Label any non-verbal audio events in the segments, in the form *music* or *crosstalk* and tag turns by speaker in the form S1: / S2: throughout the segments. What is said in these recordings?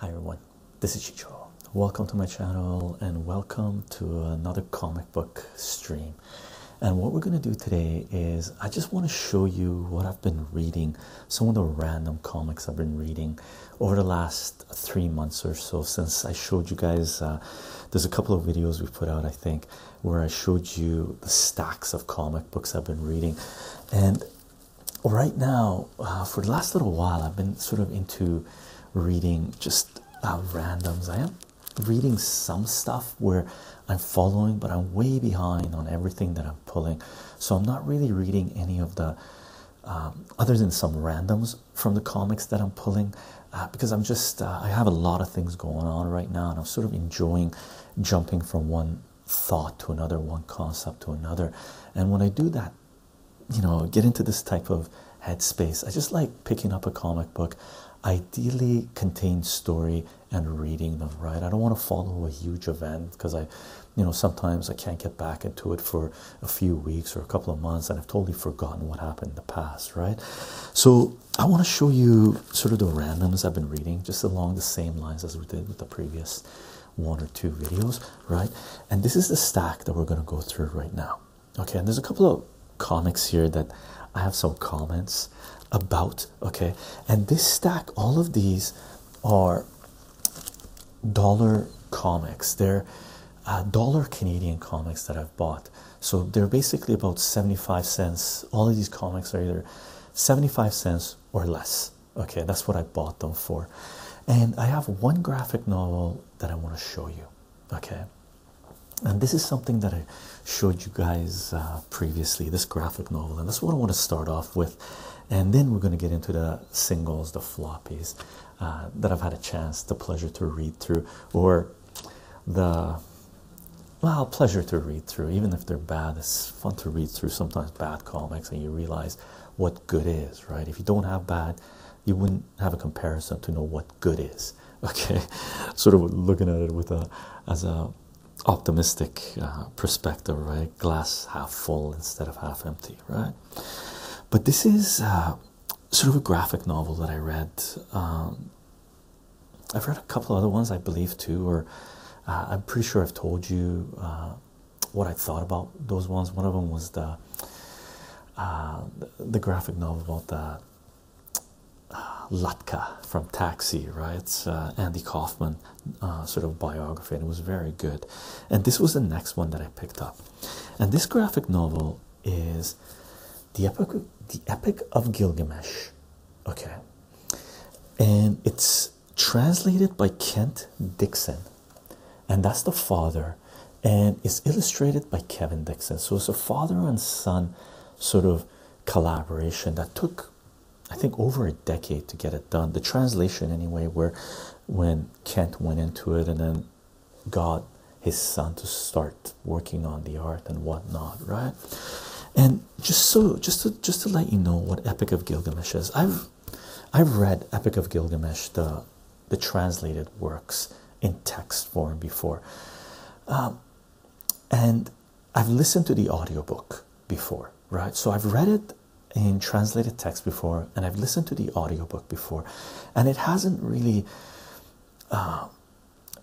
S1: Hi everyone, this is Chicho. Welcome to my channel and welcome to another comic book stream. And what we're going to do today is I just want to show you what I've been reading, some of the random comics I've been reading over the last three months or so since I showed you guys uh, there's a couple of videos we put out, I think, where I showed you the stacks of comic books I've been reading. And right now, uh, for the last little while, I've been sort of into reading just uh, randoms. I am reading some stuff where I'm following, but I'm way behind on everything that I'm pulling. So I'm not really reading any of the, um, other than some randoms, from the comics that I'm pulling uh, because I'm just uh, I have a lot of things going on right now, and I'm sort of enjoying jumping from one thought to another, one concept to another. And when I do that, you know, get into this type of headspace, I just like picking up a comic book, ideally contains story and reading them. Right? I don't want to follow a huge event because I, you know, sometimes I can't get back into it for a few weeks or a couple of months, and I've totally forgotten what happened in the past. Right? So I want to show you sort of the randomness I've been reading, just along the same lines as we did with the previous one or two videos, right? And this is the stack that we're going to go through right now. Okay, and there's a couple of comics here that I have some comments about. Okay, and this stack, all of these are dollar comics, they're uh, dollar Canadian comics that I've bought so they're basically about 75 cents. All of these comics are either 75 cents or less. Okay, that's what I bought them for. And I have one graphic novel that I want to show you. Okay, and this is something that I showed you guys uh, previously this graphic novel, and that's what I want to start off with. And then we're going to get into the singles, the floppies uh, that I've had a chance, the pleasure to read through, or the well pleasure to read through, even if they're bad. It's fun to read through sometimes bad comics, and you realize what good is, right? If you don't have bad, you wouldn't have a comparison to know what good is. *laughs* Okay, sort of looking at it with a as a optimistic uh, perspective, right? Glass half full instead of half empty, right? But this is uh, sort of a graphic novel that I read. Um, I've read a couple other ones, I believe, too, or uh, I'm pretty sure I've told you uh, what I thought about those ones. One of them was the uh, the graphic novel about the Latka from Taxi, right? It's, Andy Kaufman sort of biography, and it was very good. And this was the next one that I picked up. And this graphic novel is the epic the epic of gilgamesh okay and it's translated by kent dixon and that's the father and it's illustrated by kevin dixon so it's a father and son sort of collaboration that took i think over a decade to get it done the translation anyway where when kent went into it and then God his son to start working on the art and whatnot, right? And just so, just to just to let you know what Epic of Gilgamesh is, I've I've read Epic of Gilgamesh, the the translated works in text form before, um, and I've listened to the audio book before, right? So I've read it in translated text before, and I've listened to the audio book before, and it hasn't really. Uh,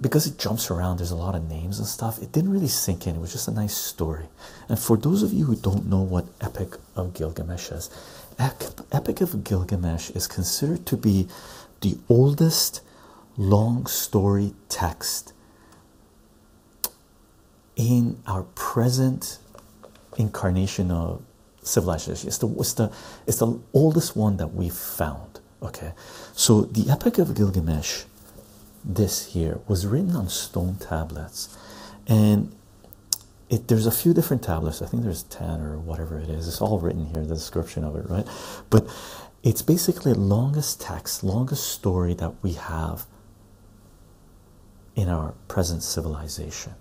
S1: because it jumps around, there's a lot of names and stuff. It didn't really sink in, it was just a nice story. And for those of you who don't know what Epic of Gilgamesh is, Epic of Gilgamesh is considered to be the oldest long story text in our present incarnation of civilization. It's the, it's the, it's the oldest one that we've found. Okay, so the Epic of Gilgamesh, this here, was written on stone tablets, and there's a few different tablets. I think there's ten or whatever it is. It's all written here, the description of it, right? But it's basically longest text, longest story that we have in our present civilization,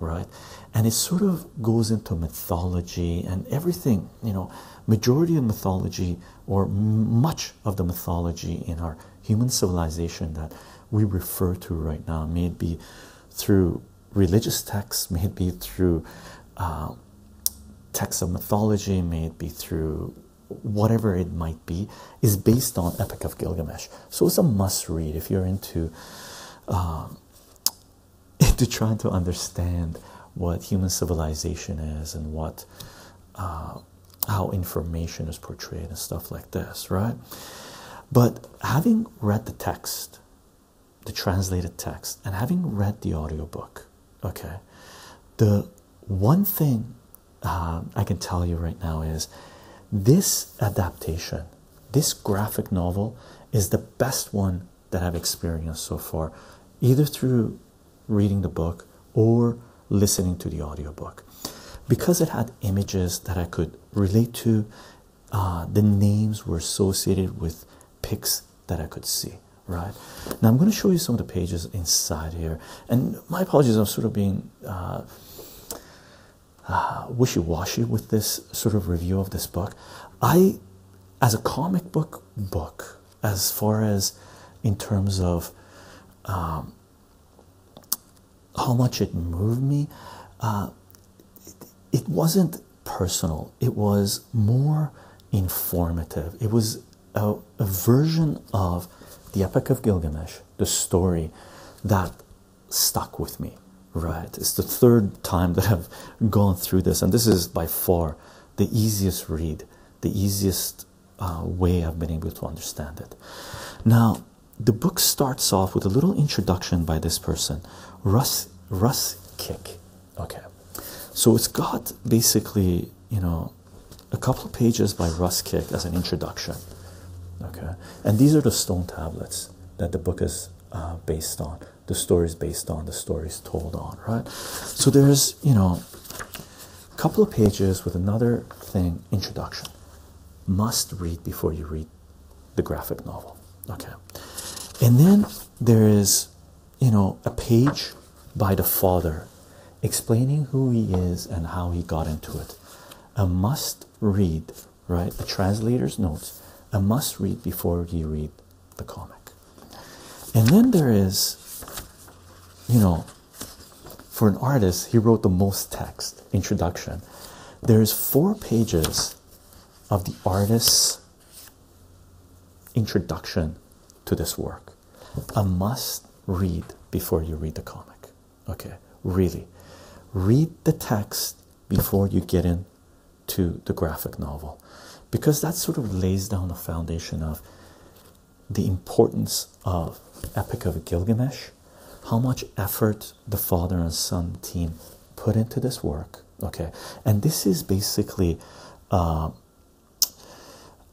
S1: right? And it sort of goes into mythology and everything you know majority of mythology or much of the mythology in our human civilization that we refer to right now may it be through religious texts may it be through uh, texts of mythology may it be through whatever it might be is based on epic of gilgamesh so it's a must read if you're into uh, into *laughs* trying to understand what human civilization is and what uh, how information is portrayed and stuff like this, right? But having read the text, the translated text, and having read the audiobook, okay, the one thing uh, I can tell you right now is this adaptation, this graphic novel, is the best one that I've experienced so far, either through reading the book or listening to the audiobook. Because it had images that I could relate to, uh, the names were associated with pics that I could see. Right now, I'm going to show you some of the pages inside here, and my apologies, I'm sort of being uh, uh, wishy washy with this sort of review of this book. I, as a comic book book, as far as in terms of um, how much it moved me. Uh, it, wasn't personal, it was more informative. It was a version of the Epic of Gilgamesh, the story that stuck with me. Right, it's the third time that I've gone through this, and this is by far the easiest read, the easiest uh, way I've been able to understand it. Now, the book starts off with a little introduction by this person, Russ Russ Kick. Okay, so it's got basically you know a couple pages by Russ Kick as an introduction. Okay, and these are the stone tablets that the book is uh, based on. The stories based on. The stories told on. Right. So there's you know, a couple of pages with another thing introduction. Must read before you read the graphic novel. Okay. And then there is, you know, a page by the father explaining who he is and how he got into it. A must read, right? A translator's notes. A must read before you read the comic. And then there is, you know, for an artist, he wrote the most text introduction. There's four pages of the artist's introduction to this work. A must read before you read the comic. Okay, really. Read the text before you get into the graphic novel because that sort of lays down the foundation of the importance of Epic of Gilgamesh, how much effort the father and son team put into this work. Okay, and this is basically uh,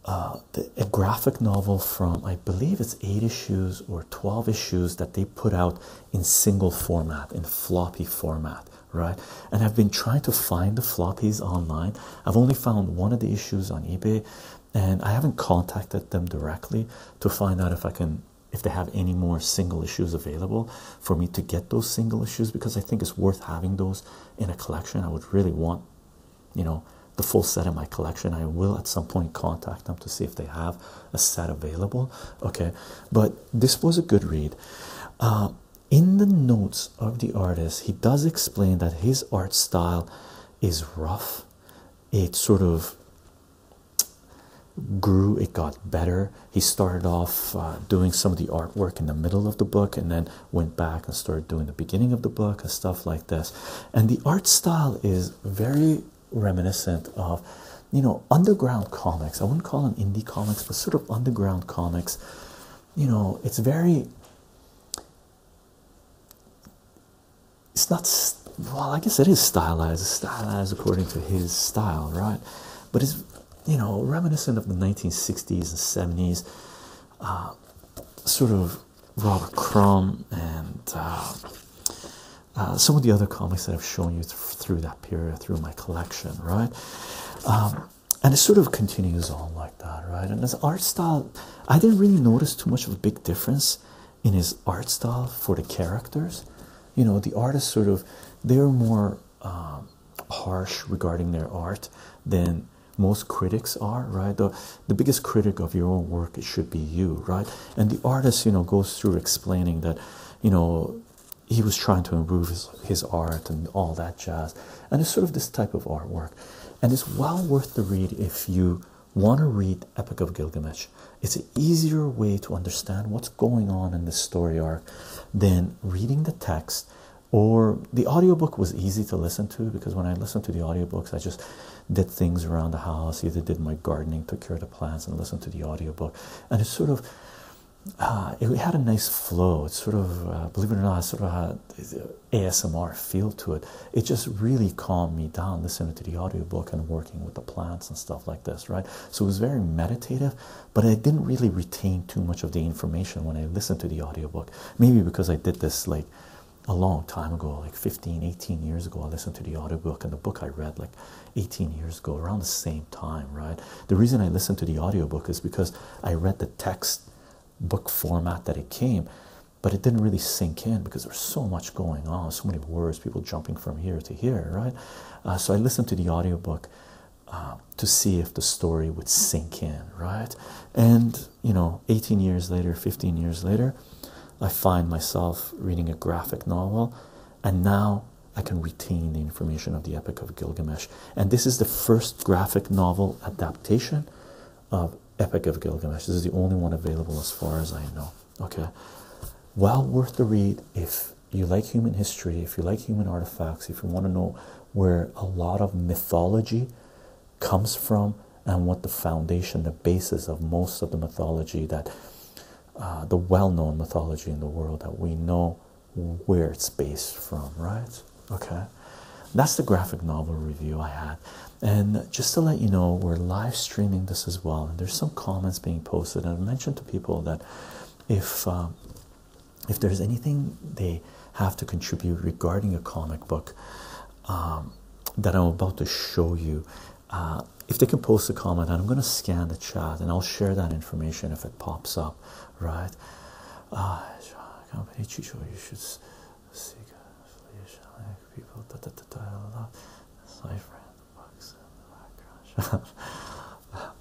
S1: uh, a graphic novel from I believe it's eight issues or 12 issues that they put out in single format, in floppy format, right? and I've been trying to find the floppies online. I've only found one of the issues on eBay, and I haven't contacted them directly to find out if I can if they have any more single issues available for me to get those single issues because I think it's worth having those in a collection. I would really want, you know, the full set in my collection. I will at some point contact them to see if they have a set available. Okay, but this was a good read. Uh, in the notes of the artist, he does explain that his art style is rough. It sort of grew, it got better. He started off uh, doing some of the artwork in the middle of the book and then went back and started doing the beginning of the book and stuff like this. And the art style is very reminiscent of, you know, underground comics. I wouldn't call them indie comics, but sort of underground comics you know it's very it's not well i guess it is stylized it's stylized according to his style right but it's you know reminiscent of the 1960s and 70s uh, sort of robert crumb and uh, uh, some of the other comics that i've shown you through that period through my collection right um, and it sort of continues on like that, right? And his art style, I didn't really notice too much of a big difference in his art style for the characters. You know, the artists sort of they're more um, harsh regarding their art than most critics are, right? The biggest critic of your own work it should be you, right? And the artist, you know, goes through explaining that, you know. He was trying to improve his art and all that jazz, and it's sort of this type of artwork and it's well worth the read if you want to read Epic of Gilgamesh. It's an easier way to understand what's going on in this story arc than reading the text or the audiobook was easy to listen to because when I listened to the audiobooks, I just did things around the house, either did my gardening, took care of the plants, and listened to the audiobook. And it sort of uh, it had a nice flow. It sort of, uh, believe it or not, sort of had uh, ASMR feel to it. It just really calmed me down listening to the audiobook and working with the plants and stuff like this, right? So it was very meditative, but I didn't really retain too much of the information when I listened to the audiobook. Maybe because I did this like a long time ago, like 15, 18 years ago, I listened to the audiobook and the book I read like 18 years ago, around the same time, right? The reason I listened to the audiobook is because I read the text book format that it came, but it didn't really sink in because there's so much going on, so many words, people jumping from here to here, right? Uh, so I listened to the audiobook uh, to see if the story would sink in, right? And you know, 18 years later, 15 years later, I find myself reading a graphic novel, and now I can retain the information of the Epic of Gilgamesh. And this is the first graphic novel adaptation of Epic of Gilgamesh. This is the only one available as far as I know. Okay, well worth the read if you like human history, if you like human artifacts, if you want to know where a lot of mythology comes from and what the foundation, the basis of most of the mythology that uh, the well known mythology in the world that we know where it's based from, right? Okay, that's the graphic novel review I had. And just to let you know, we're live streaming this as well. And there's some comments being posted. And I mentioned to people that if um, if there's anything they have to contribute regarding a comic book um, that I'm about to show you, uh, if they can post a comment, I'm going to scan the chat and I'll share that information if it pops up, right? Uh, you should seek Asiatic people. Da, da, da, da, da, Cipher in the box in the background.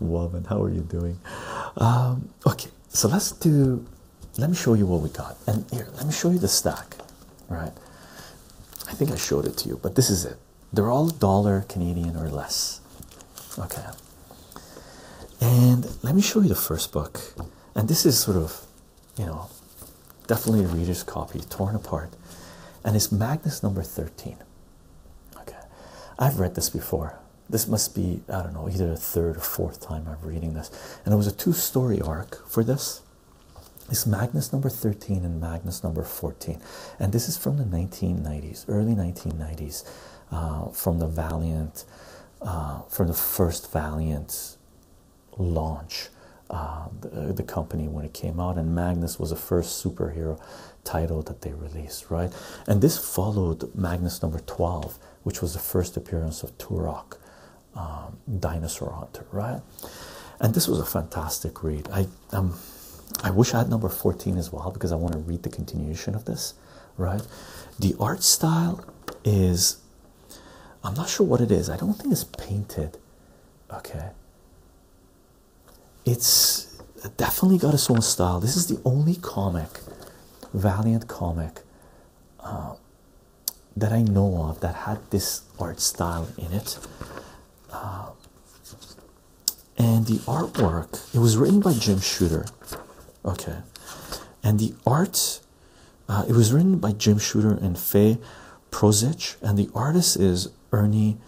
S1: Woman, how are you doing? Um, okay, so let's do. Let me show you what we got. And here, let me show you the stack. Right? I think I showed it to you, but this is it. They're all dollar Canadian or less. Okay. And let me show you the first book and this is sort of you know definitely a reader's copy torn apart and it's magnus number 13 okay i've read this before this must be i don't know either the third or fourth time i'm reading this and it was a two-story arc for this it's magnus number 13 and magnus number 14 and this is from the 1990s early 1990s uh, from the valiant uh, from the first Valiant launch, uh, the, company when it came out, and Magnus was the first superhero title that they released, right? And this followed Magnus number 12, which was the first appearance of Turok, um, Dinosaur Hunter, right? And this was a fantastic read. I um, I wish I had number 14 as well because I want to read the continuation of this, right? The art style is I'm not sure what it is. I don't think it's painted. Okay. It's definitely got a own style. This is the only comic, Valiant comic, uh, that I know of that had this art style in it. Uh, and the artwork, it was written by Jim Shooter. Okay. And the art uh, it was written by Jim Shooter and Fay Prozich, and the artist is Ernie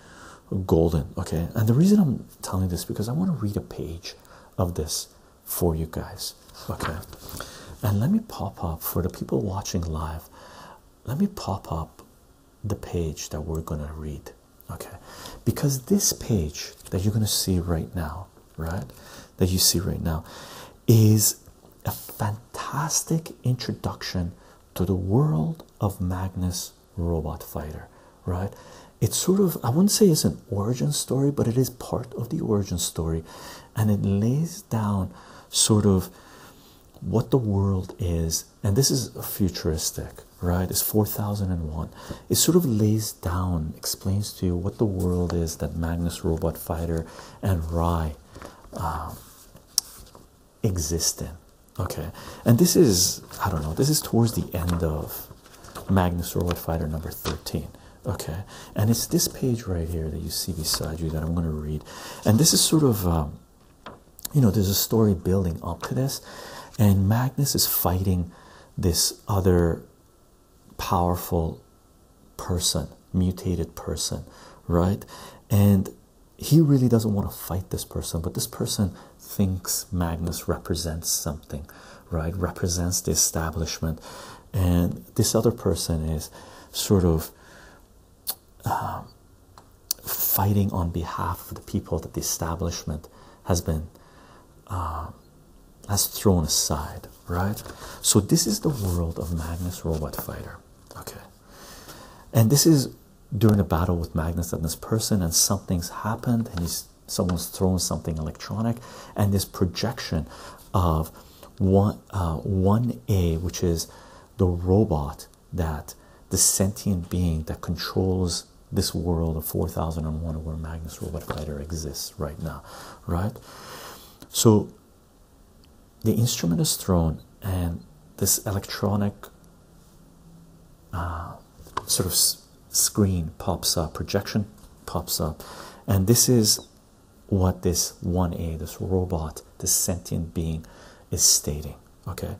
S1: Golden. Okay, and the reason I'm telling this because I want to read a page of this for you guys. Okay, and let me pop up for the people watching live. Let me pop up the page that we're gonna read. Okay, because this page that you're gonna see right now right that you see right now is a fantastic introduction to the world of Magnus Robot Fighter, right? It's sort of, I wouldn't say it's an origin story, but it is part of the origin story. And it lays down sort of what the world is. And this is futuristic, right? It's 4001. It sort of lays down, explains to you what the world is that Magnus Robot Fighter, and Rye uh, um, exist in. Okay, and this is I don't know. This is towards the end of Magnus Robot Fighter number thirteen. Okay, and it's this page right here that you see beside you that I'm going to read, and this is sort of um, you know there's a story building up to this, and Magnus is fighting this other powerful person, mutated person, right? And he really doesn't want to fight this person, but this person thinks Magnus represents something, right? Represents the establishment. And this other person is sort of um, fighting on behalf of the people that the establishment has been um, has thrown aside, right? So, this is the world of Magnus Robot Fighter, okay? And this is during a battle with Magnus and this person, and something's happened, and he's someone's thrown something electronic, and this projection of one uh, one A, which is the robot that the sentient being that controls this world of 4001 where Magnus Robot Fighter exists right now, right? So the instrument is thrown and this electronic uh, sort of screen pops up projection pops up and this is what this 1a this robot this sentient being is stating okay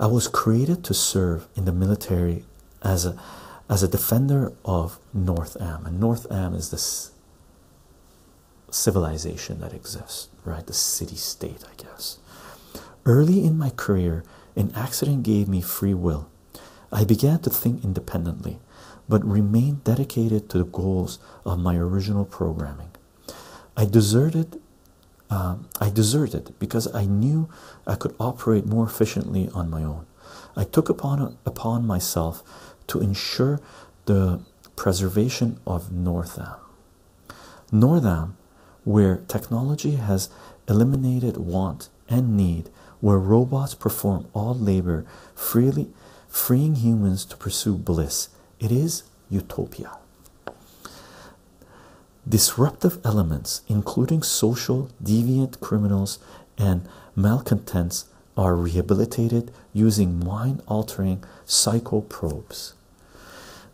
S1: i was created to serve in the military as a as a defender of North Am, and North Am is this civilization that exists, right? The city state, I guess. Early in my career, an accident gave me free will. I began to think independently, but remained dedicated to the goals of my original programming. I deserted. Um, I deserted because I knew I could operate more efficiently on my own. I took upon, upon myself to ensure the preservation of Northam. Northam, where technology has eliminated want and need, where robots perform all labor freely, freeing humans to pursue bliss, it is utopia. Disruptive elements, including social, deviant criminals, and malcontents, are rehabilitated using mind altering psychoprobes.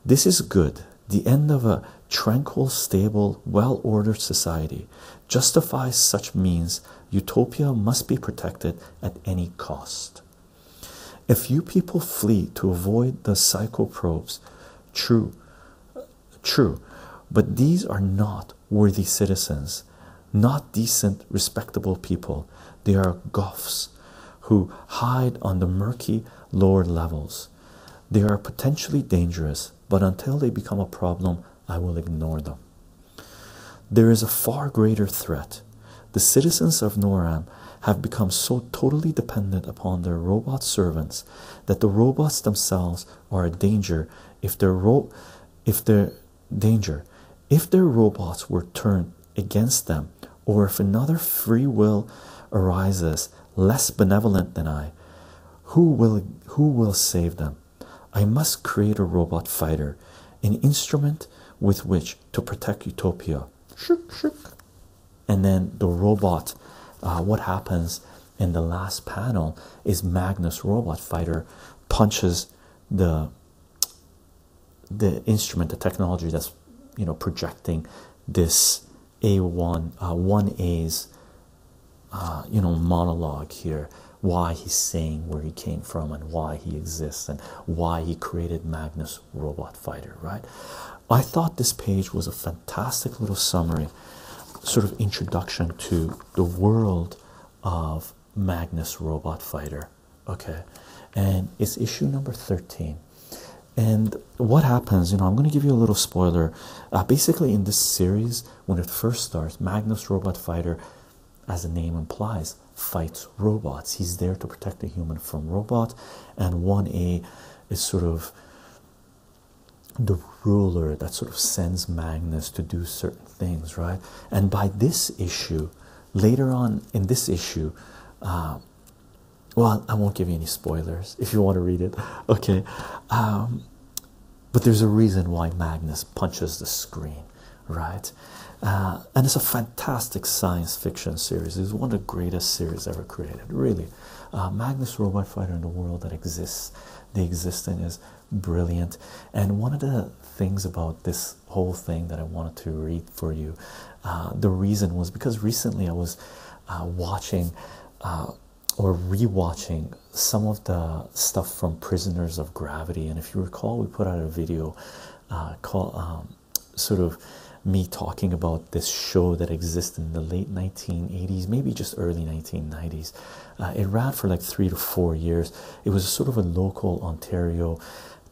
S1: This is good, the end of a tranquil, stable, well ordered society. Justifies such means, utopia must be protected at any cost. A few people flee to avoid the psychoprobes, true, true, but these are not worthy citizens, not decent, respectable people. They are goths who hide on the murky lower levels. They are potentially dangerous, but until they become a problem, I will ignore them. There is a far greater threat. The citizens of Noram have become so totally dependent upon their robot servants that the robots themselves are a danger if their ro if their danger if their robots were turned against them, or if another free will arises less benevolent than I, who will who will save them? I must create a robot fighter, an instrument with which to protect Utopia. Shook, shook. And then the robot, uh, what happens in the last panel is Magnus Robot Fighter punches the the instrument, the technology that's you know projecting this A1 1A's uh, uh, you know monologue here, why he's saying where he came from and why he exists and why he created Magnus Robot Fighter, right? I thought this page was a fantastic little summary, sort of introduction to the world of Magnus Robot Fighter. Okay, and it's issue number 13. And what happens, you know, I'm going to give you a little spoiler. Uh, basically, in this series, when it first starts, Magnus Robot Fighter, as the name implies, fights robots. He's there to protect the human from robot, and 1A is sort of the ruler that sort of sends Magnus to do certain things, right? And by this issue, later on in this issue, um, well, I won't give you any spoilers if you want to read it, *laughs* okay? Um, but there's a reason why Magnus punches the screen, right? Uh, and it's a fantastic science fiction series. It's one of the greatest series ever created, really. Uh, Magnus Robot Fighter in the world that exists, the exist is brilliant. And one of the things about this whole thing that I wanted to read for you, uh, the reason was because recently I was uh, watching uh, or rewatching some of the stuff from Prisoners of Gravity, and if you recall, we put out a video uh, called um, sort of me talking about this show that existed in the late 1980s, maybe just early 1990s. Uh, it ran for like three to four years. It was sort of a local Ontario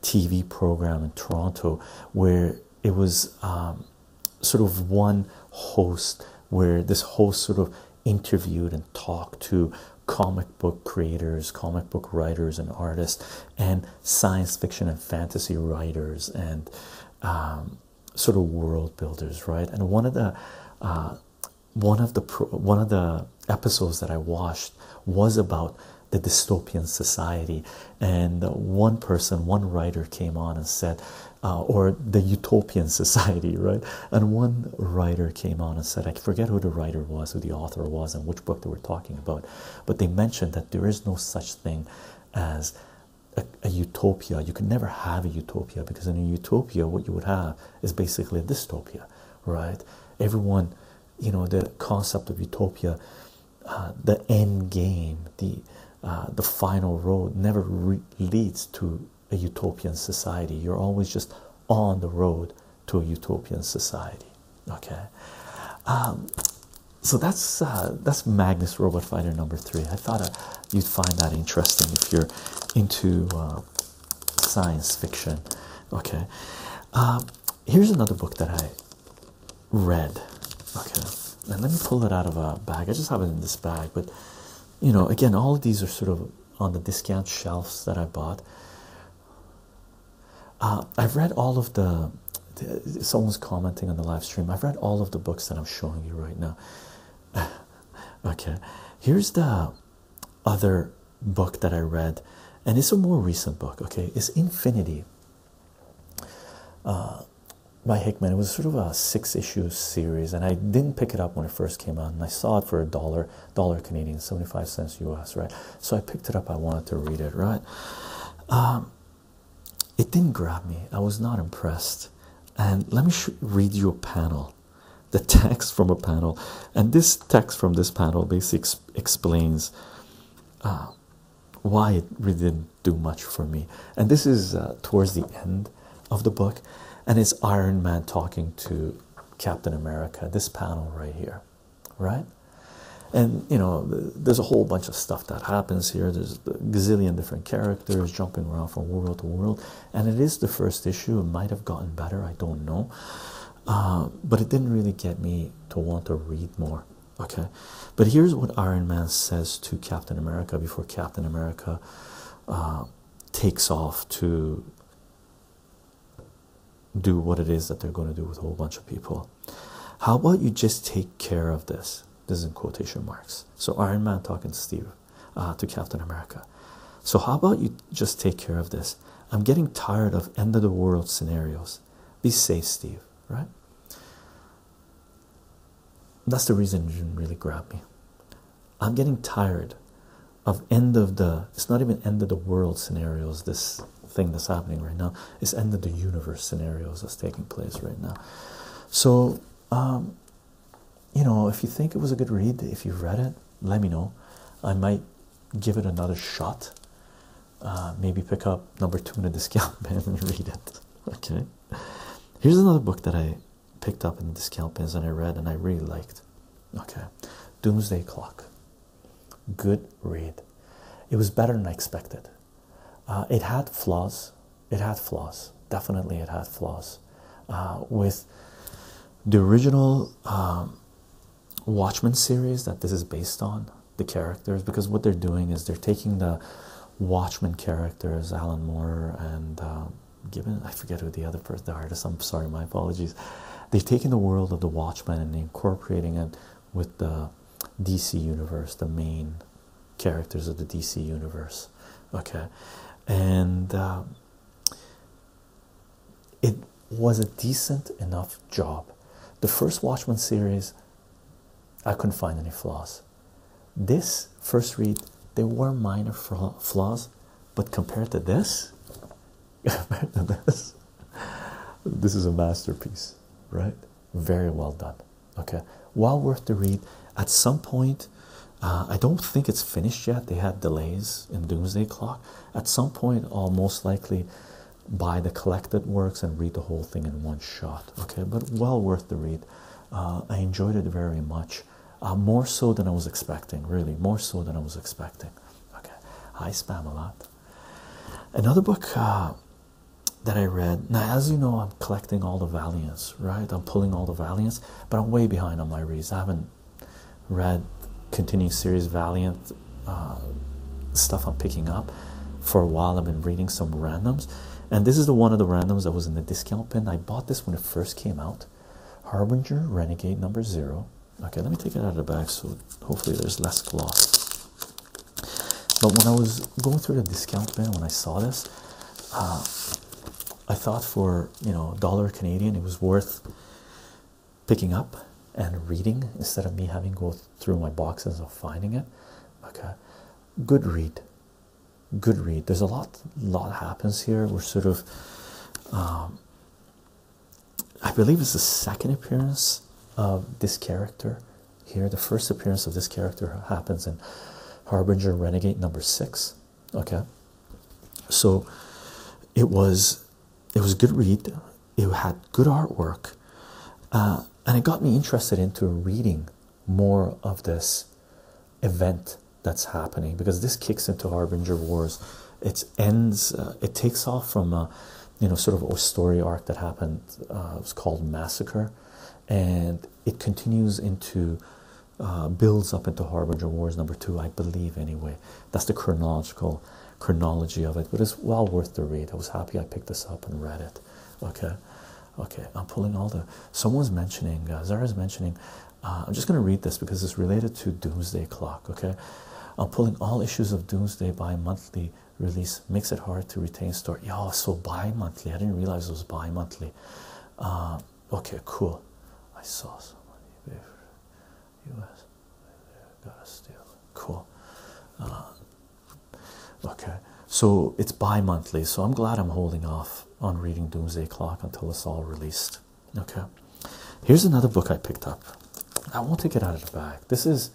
S1: TV program in Toronto where it was um, sort of one host where this host sort of interviewed and talked to comic book creators, comic book writers, and artists, and science fiction and fantasy writers, and um, sort of world builders, right? And one of the uh, one of the one of the episodes that I watched was about the dystopian society, and one person, one writer came on and said, uh, or the utopian *laughs* society, right? And one writer came on and said, I forget who the writer was, who the author was, and which book they were talking about, but they mentioned that there is no such thing as a, a utopia. You can never have a utopia because in a utopia, what you would have is basically a dystopia right? Everyone, you know, the concept of utopia, uh, the end game, the uh, the final road never leads to a utopian society. You're always just on the road to a utopian society. Okay, um, so that's uh, that's Magnus Robot Fighter number three. I thought you'd find that interesting if you're into science fiction. Okay, um, here's another book that I read. Okay, let me pull it out of a bag. I just have it in this bag, but you know, again, all of these are sort of on the discount shelves that I bought. Uh, I've read all of the, the. Someone's commenting on the live stream. I've read all of the books that I'm showing you right now. *sighs* okay, here's the other book that I read, and it's a more recent book, okay? It's Infinity uh, by Hickman. It was sort of a six issue series, and I didn't pick it up when it first came out, and I saw it for a dollar, dollar Canadian, 75 cents US, right? So I picked it up, I wanted to read it, right? Um, it didn't grab me, I was not impressed. And let me read you a panel the text from a panel, and this text from this panel basically explains uh, why it really didn't do much for me. And this is uh, towards the end of the book, and it's Iron Man talking to Captain America. This panel right here, right? And you know, there's a whole bunch of stuff that happens here. There's a gazillion different characters jumping around from world to world, and it is the first issue. It might have gotten better, I don't know. Uh, but it didn't really get me to want to read more. Okay, but here's what Iron Man says to Captain America before Captain America uh, takes off to do what it is that they're going to do with a whole bunch of people. How about you just take care of this? This is in quotation marks. So Iron Man talking to Steve, uh, to Captain America. So how about you just take care of this. I'm getting tired of end of the world scenarios. Be safe, Steve, right? That's the reason you didn't really grab me. I'm getting tired of end of the it's not even end of the world scenarios, this thing that's happening right now. It's end of the universe scenarios that's taking place right now. So um, you know if you think it was a good read, if you've read it, let me know. I might give it another shot. Uh, maybe pick up number two in a discount *laughs* bin and read it. Okay, here's another book that I picked up in the discount bins and I read and I really liked. Okay, Doomsday Clock. Good read. It was better than I expected. Uh, it had flaws. It had flaws. Definitely, it had flaws. Uh, with the original um, Watchmen series that this is based on the characters because what they're doing is they're taking the Watchmen characters, Alan Moore and uh, Gibbon. I forget who the other person, the artist. I'm sorry, my apologies. They've taken the world of the Watchmen and incorporating it with the DC universe, the main characters of the DC universe. Okay, and um, it was a decent enough job. The first Watchmen series, I couldn't find any flaws. This first read, there were minor flaws, but compared to this, compared to this, *laughs* this is a masterpiece, right? Very well done. Okay, well worth the read. At some point, uh, I don't think it's finished yet. They had delays in Doomsday Clock. At some point, I'll most likely buy the collected works and read the whole thing in one shot. Okay, but well worth the read. Uh, I enjoyed it very much, uh, more so than I was expecting. Really, more so than I was expecting. Okay, I spam a lot. Another book uh, that I read. Now, as you know, I'm collecting all the Valiants. Right, I'm pulling all the Valiants, but I'm way behind on my reads. I haven't read continuing series Valiant uh, stuff I'm picking up. For a while, I've been reading some randoms, and this is the one of the randoms that was in the discount bin. I bought this when it first came out. Harbinger Renegade number zero. Okay, let me take it out of the bag so hopefully there's less gloss. But when I was going through the discount bin when I saw this, uh, I thought for you know a dollar Canadian it was worth picking up and reading instead of me having to go through my boxes of finding it. Okay, good read, good read. There's a lot, lot happens here. We're sort of, um, I believe it's the second appearance of this character here. The first appearance of this character happens in Harbinger Renegade number six. Okay, so it was it was a good read. It had good artwork, uh, and it got me interested into reading more of this event that's happening because this kicks into Harbinger Wars. It ends. Uh, it takes off from a, uh, you know, sort of a story arc that happened. Uh, it was called Massacre, and it continues into. builds up into Harbinger Wars number two, I believe. Anyway, that's the chronological chronology of it, but it's well worth the read. I was happy I picked this up and read it. Okay, okay. I'm pulling all the. Someone's mentioning. Uh, Zara's mentioning. Uh, I'm just going to read this because it's related to Doomsday Clock. Okay, I'm pulling all issues of Doomsday by monthly release. Makes it hard to retain story. Yeah, so bi-monthly. I didn't realize it was bi-monthly. Uh, okay, cool. I saw somebody. U.S. Got a steal. Cool. Uh, okay, so it's bi-monthly. So I'm glad I'm holding off on reading Doomsday Clock until it's all released. Okay. Here's another book I picked up. I won't take it out of the bag. This is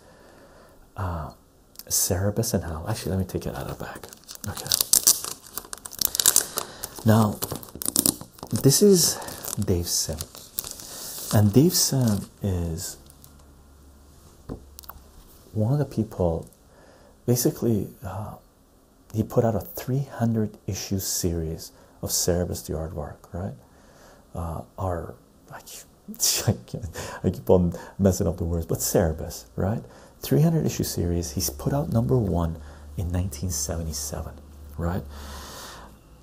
S1: uh, and Hell. Actually, let me take it out of the bag. Okay. Now, this is Dave Sim. And Dave Sim is one of the people basically uh, he put out a 300 issue series of Cerebus the artwork, right? Uh, *laughs* I, keep on messing up the words, but Cerebus, right? 300 issue series. He's put out number one in 1977, right?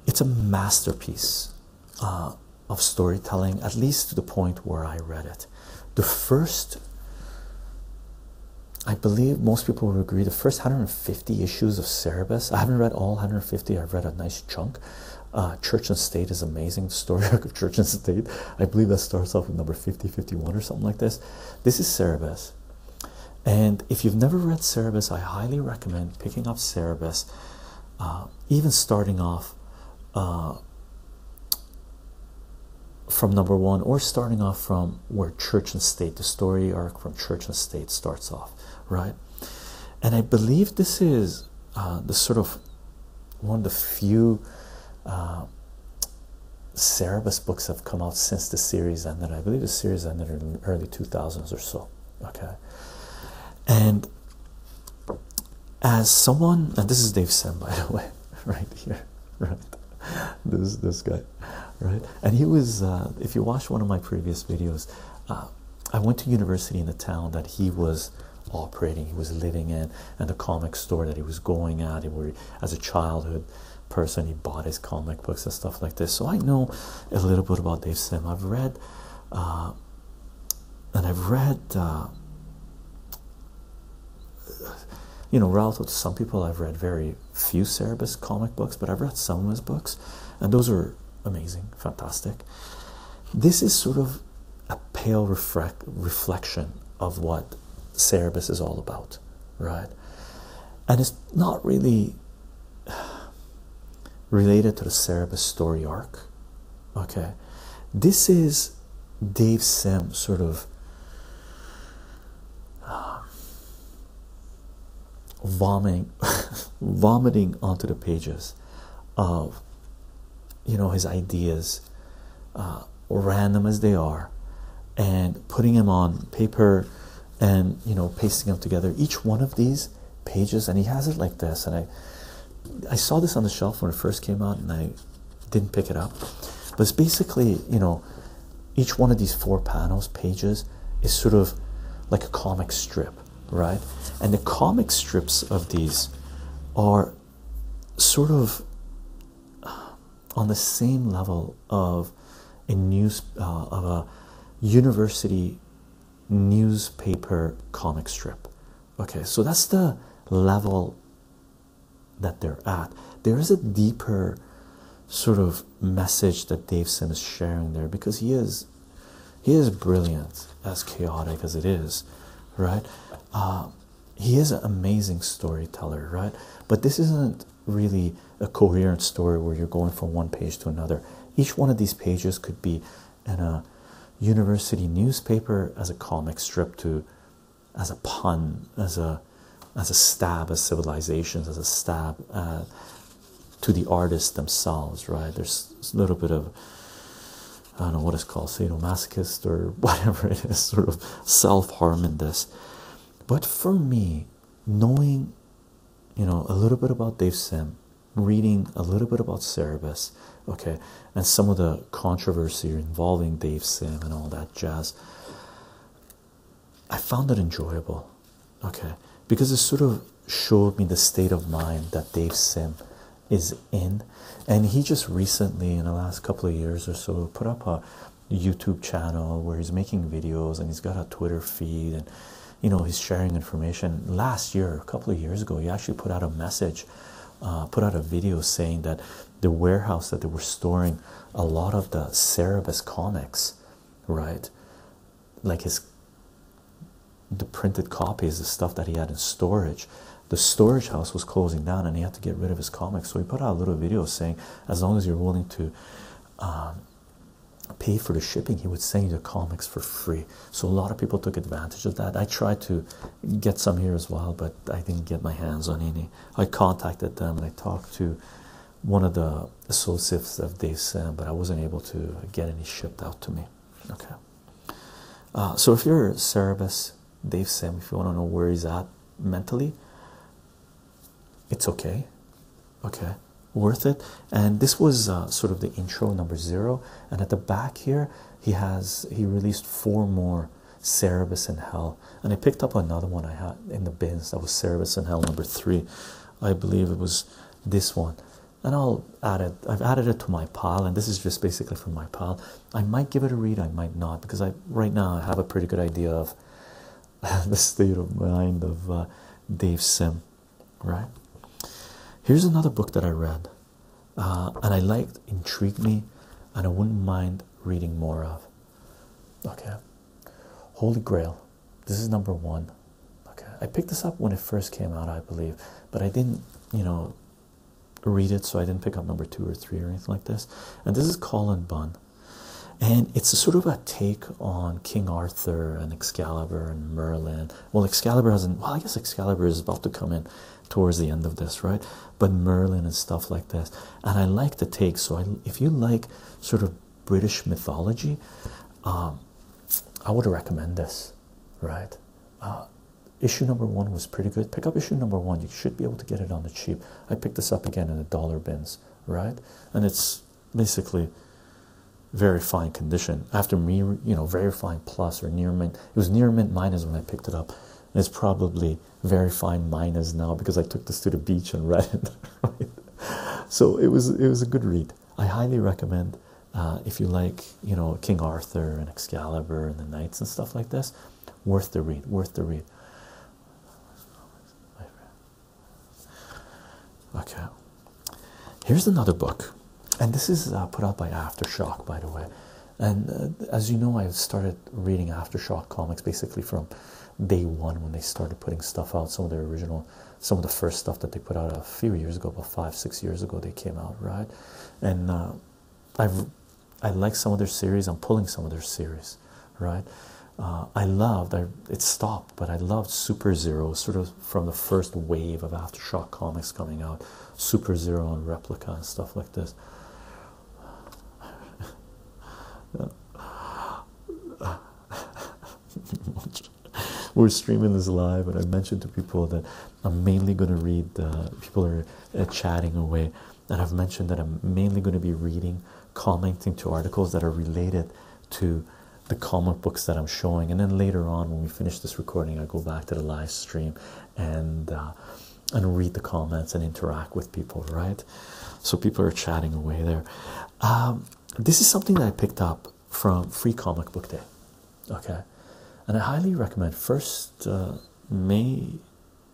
S1: it's a masterpiece uh, of storytelling, at least to the point where I read it. The first, I believe most people would agree, the first 150 issues of Cerebus, I haven't read all 150, I've read a nice chunk. Uh, Church and State is amazing. The story *laughs* of Church and State, I believe that starts off with number 50, 51 or something like this. This is Cerebus. And if you've never read Cerebus, I highly recommend picking up Cerebus. Uh, even starting off uh, from number one or starting off from where church and state the story arc from church and state starts off right and i believe this is uh, the sort of one of the few uh, books that have come out since the series ended. I believe the series ended in early 2000s or so. Okay, and as someone, and this is Dave Sim, by the way, *laughs* right here, right? This this guy, right? And he was, uh, if you watch one of my previous videos, uh, I went to university in the town that he was operating, he was living in, and the comic store that he was going at. Where as a childhood person, he bought his comic books and stuff like this. So I know a little bit about Dave Sim. I've read. Uh, and I've read, uh, you know, relative to some people, I've read very few Cerebus comic books, but I've read some of his books, and those are amazing, fantastic. This is sort of a pale reflection of what Cerebus is all about, right? And it's not really *sighs* related to the Cerebus story arc, Okay, this is Dave Sam sort of um, vomiting, *laughs* vomiting onto the pages of you know his ideas, uh, random as they are, and putting them on paper and you know pasting them together. Each one of these pages and he has it like this and i i saw this on the shelf when it first came out and i didn't pick it up but it's basically you know each one of these four panels pages is sort of like a comic strip right and the comic strips of these are sort of uh, on the same level of a news uh, of a university newspaper comic strip Okay, so that's the level that they're at. There is a deeper sort of message that Dave Sim is sharing there because he is he is brilliant, as chaotic as it is, right? Uh, he is an amazing storyteller, right? But this isn't really a coherent story where you're going from one page to another. Each one of these pages could be in a university newspaper as a comic strip to as a pun as a as a stab at civilizations as a stab uh, to the artists themselves right there's a little bit of I don't know what it's called, sadomasochist or *laughs* whatever it is, sort of self harm in this. But for me, knowing, you know, a little bit about Dave Sim, reading a little bit about Cerebus, okay, and some of the controversy involving Dave Sim and all that jazz, I found it enjoyable, okay, because it sort of showed me the state of mind that Dave Sim is in. And he just recently, in the last couple of years or so, put up a YouTube channel where he's making videos and he's got a Twitter feed and you know he's sharing information. Last year, a couple of years ago, he actually put out a message. Uh, put out a video saying that the warehouse that they were storing a lot of the Cerebus comics, right? Like his the printed copies, the stuff that he had in storage. The storage house was closing down and he had to get rid of his comics. So he put out a little video saying, as long as you're willing to um, pay for the shipping, he would send you the comics for free. So a lot of people took advantage of that. I tried to get some here as well, but I didn't get my hands on any. I contacted them and I talked to one of the associates of Dave Sam, but I wasn't able to get any shipped out to me. Okay. Uh, so if you're Cerebus, Dave Sam, if you want to know where he's at mentally, it's okay. Okay. Worth it. And this was uh, sort of the intro number zero. And at the back here, he has he released four more Cerebus in Hell, and I picked up another one I had in the bins that was Cerebus in Hell number three. I believe it was this one, and I'll add it. I've added it to my pile, and this is just basically from my pile. I might give it a read, I might not, because I right now I have a pretty good idea of *laughs* the state of mind of uh, Dave Sim. Right? Here's another book that I read uh, and I liked, intrigued me, and I wouldn't mind reading more of. Okay, Holy Grail. This is number one. Okay, I picked this up when it first came out, I believe, but I didn't, you know, read it, so I didn't pick up number two or three or anything like this. And this is Colin Bunn. And it's sort of a take on King Arthur and Excalibur and Merlin. Well, Excalibur hasn't. Well, I guess Excalibur is about to come in towards the end of this, right? But Merlin and stuff like this. And I like the take. So if you like sort of British mythology, um, I would recommend this, right? Uh, issue number one was pretty good. Pick up issue number one. You should be able to get it on the cheap. I picked this up again in a dollar bins, right? And it's basically very fine condition after me, you know, verifying plus or near mint it was near mint minus when I picked it up. and It's probably very fine minus now because I took this to the beach and read it. *laughs* So it was it was a good read. I highly recommend uh, if you like you know King Arthur and Excalibur and the Knights and stuff like this. Worth the read. Worth the read. Okay. Here's another book and this is uh, put out by Aftershock, by the way. And uh, as you know, I have started reading Aftershock comics basically from day one when they started putting stuff out. Some of their original, some of the first stuff that they put out a few years ago, about five, six years ago, they came out, right? And uh, I've I like some of their series. I'm pulling some of their series, right? I loved. I it stopped, but I loved Super Zero, sort of from the first wave of Aftershock comics coming out. Super Zero and Replica and stuff like this. *laughs* We're streaming this live, and I mentioned to people that I'm mainly going to read. people are uh, chatting away, and I've mentioned that I'm mainly going to be reading, commenting to articles that are related to the comic books that I'm showing, and then later on when we finish this recording, I go back to the live stream and uh, and read the comments and interact with people, right? So people are chatting away there. Um, this is something that I picked up from Free Comic Book Day, okay, and I highly recommend. First uh, May,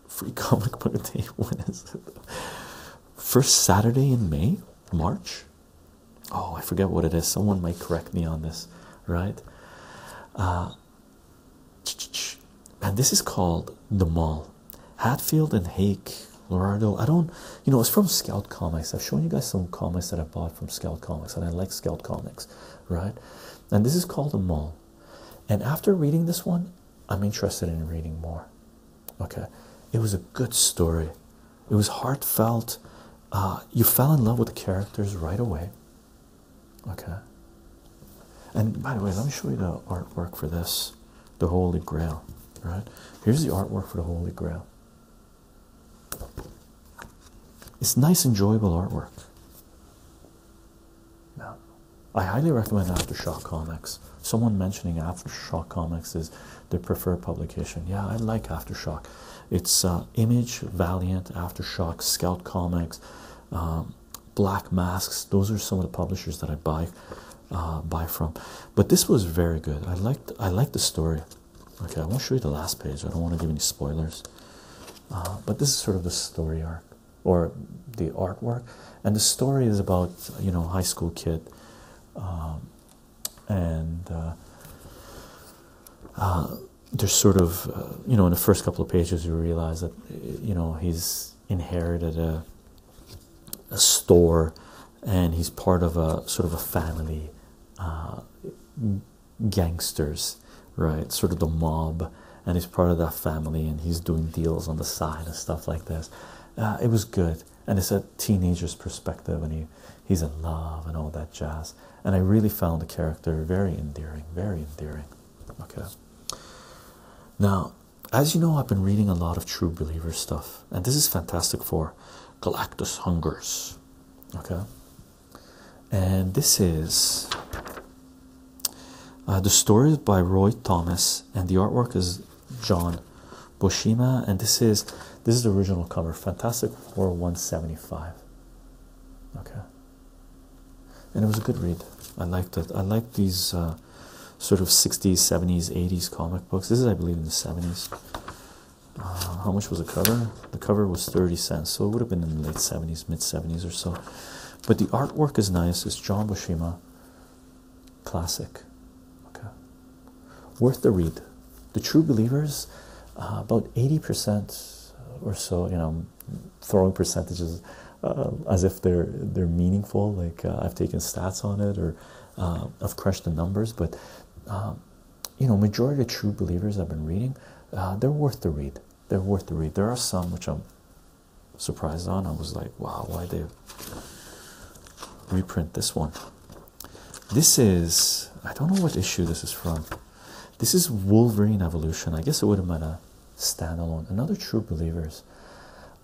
S1: Free *laughs* Comic Book Day. *laughs* When is it? First Saturday in May, March. Oh, I forget what it is. Someone might correct me on this, right? Uh, and this is called The Mall. Hatfield and Hake, Lorado. I don't, you know, it's from Scout Comics. I've shown you guys some comics that I bought from Scout Comics, and I like Scout Comics, right? And this is called The Mall. And after reading this one, I'm interested in reading more. Okay, it was a good story. It was heartfelt. Uh, you fell in love with the characters right away. Okay. And by the way, let me show you the artwork for this, the Holy Grail. Right? Here's the artwork for the Holy Grail. It's nice, enjoyable artwork. Now, I highly recommend Aftershock Comics. Someone mentioning Aftershock Comics is their preferred publication. Yeah, I like Aftershock. It's uh, Image, Valiant, Aftershock, Scout Comics, um, black Masks. Those are some of the publishers that I buy uh, buy from. But this was very good. I liked I liked the story. Okay, I won't show you the last page. I don't want to give any spoilers. Uh, but this is sort of the story arc or the artwork, and the story is about you know high school kid, um, and uh, there's sort of uh, you know in the first couple of pages you realize that you know he's inherited a a store and he's part of a sort of a family uh, gangsters right sort of the mob and he's part of that family and he's doing deals on the side and stuff like this uh, it was good and it's a teenager's perspective and he he's in love and all that jazz and I really found the character very endearing very endearing Okay. Now, as you know, I've been reading a lot of true believer stuff, and this is fantastic for Galactus Hungers. Okay. And this is uh, the story by Roy Thomas, and the artwork is John Boshima, and this is this is the original cover, Fantastic Four 175. Okay, and it was a good read. I liked it. I liked these uh, sort of 60s, 70s, 80s comic books. This is, I believe, in the 70s. Uh, how much was the cover? The cover was 30 cents, so it would have been in the late 70s, mid 70s or so. But the artwork is nice. It's John Boshima, classic. Okay, worth the read. The True Believers, uh, about 80% or so, you know, throwing percentages uh, as if they're they're meaningful. Like uh, I've taken stats on it, or uh, I've crushed the numbers. But um, you know, majority of true believers I've been reading, they're worth the read. They're worth the read. There are some which I'm surprised on. I was like, wow, why they reprint this one? This is I don't know what issue this is from. This is Wolverine Evolution. I guess it would have been a standalone. Another True Believers.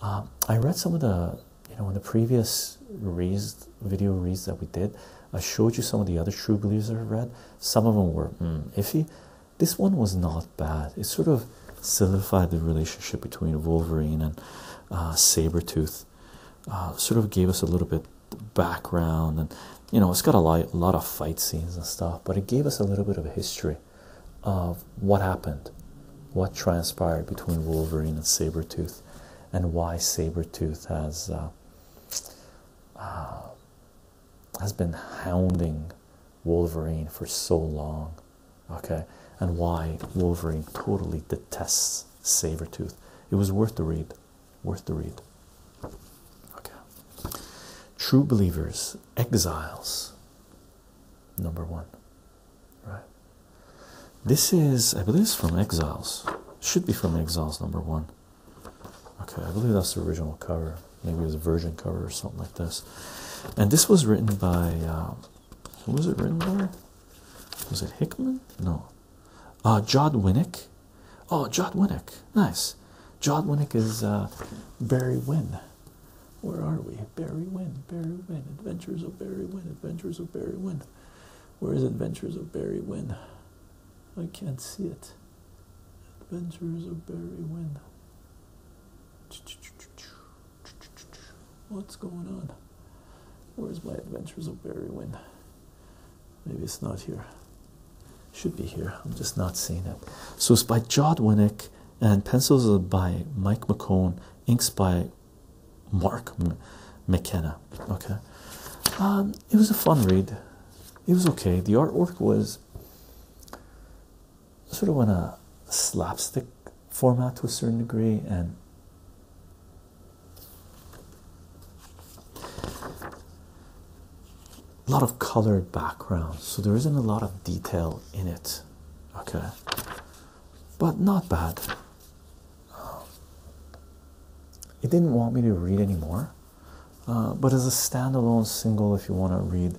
S1: Um, I read some of the, you know, in the previous video reads that we did, I showed you some of the other True Believers i read. Some of them were mm, iffy. This one was not bad. It sort of solidified the relationship between Wolverine and uh, Saber Tooth. Uh, sort of gave us a little bit background and you know, it's got a lot, of fight scenes and stuff, but it gave us a little bit of a history of what happened, what transpired between Wolverine and Sabretooth, and why Sabretooth has uh, uh, has been hounding Wolverine for so long, okay, and why Wolverine totally detests Sabretooth. It was worth the read, worth the read. Okay. True Believers exiles. Number one, right? This is, I believe, from Exiles. Should be from Exiles. Number one. Okay, I believe that's the original cover. Maybe it was a Virgin cover or something like this. And this was written by um, who was it written by? Was it Hickman? No. Uh, Jod Winnick. Oh, Jod Winnick. Nice. John is uh, Barry Wynn. Where are we? Barry Wynn, Barry Wynn, Adventures of Barry Wynn, Adventures of Barry Wynn. Where is Adventures of Barry Wynn? I can't see it. Adventures of Barry Wynn. What's going on? Where's my Adventures of Barry Wynn? Maybe it's not here. Should be here. I'm just not seeing it. So it's by Jod Winnick and pencils are by Mike McCone, inks by Mark McKenna. Okay, um, it was a fun read. It was okay. The artwork was sort of in a slapstick format to a certain degree, and a lot of colored backgrounds, so there isn't a lot of detail in it. Okay, but not bad. Um, it didn't want me to read anymore, uh, but as a standalone single, if you want to read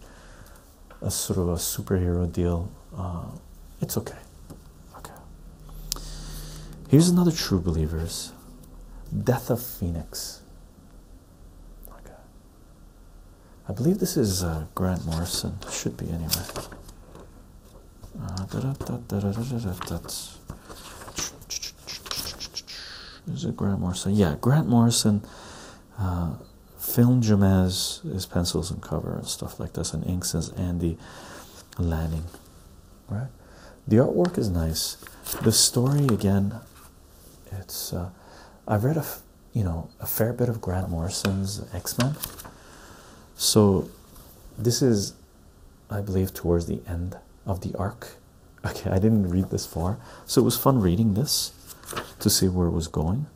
S1: a sort of a superhero deal, uh, it's okay. Okay. Here's another True Believers Death of Phoenix. I believe this is uh, Grant Morrison. Should be anyway. Is it Grant Morrison? Yeah, Grant Morrison uh, filmed Jamez, his pencils and cover and stuff like this, and inks as Andy Lanning. Right? The artwork is nice. The story, again, it's I've read a you know a fair bit of Grant Morrison's X Men, so this is, I believe, towards the end of the arc. *laughs* Okay, I didn't read this far, so it was fun reading this to see where it was going.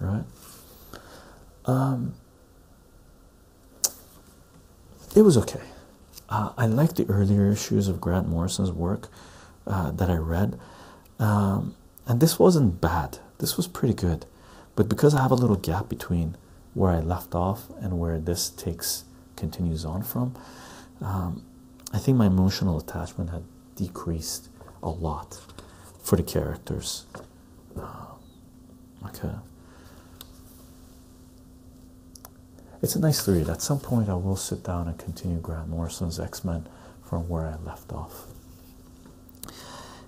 S1: Right. Um, it was okay. Uh, I like the earlier issues of Grant Morrison's work, uh, that I read, um, and this wasn't bad. This was pretty good, but because I have a little gap between where I left off and where this takes continues on from, um, I think my emotional attachment had decreased a lot for the characters. Um, okay. It's a nice read. At some point, I will sit down and continue Grant Morrison's X Men from where I left off.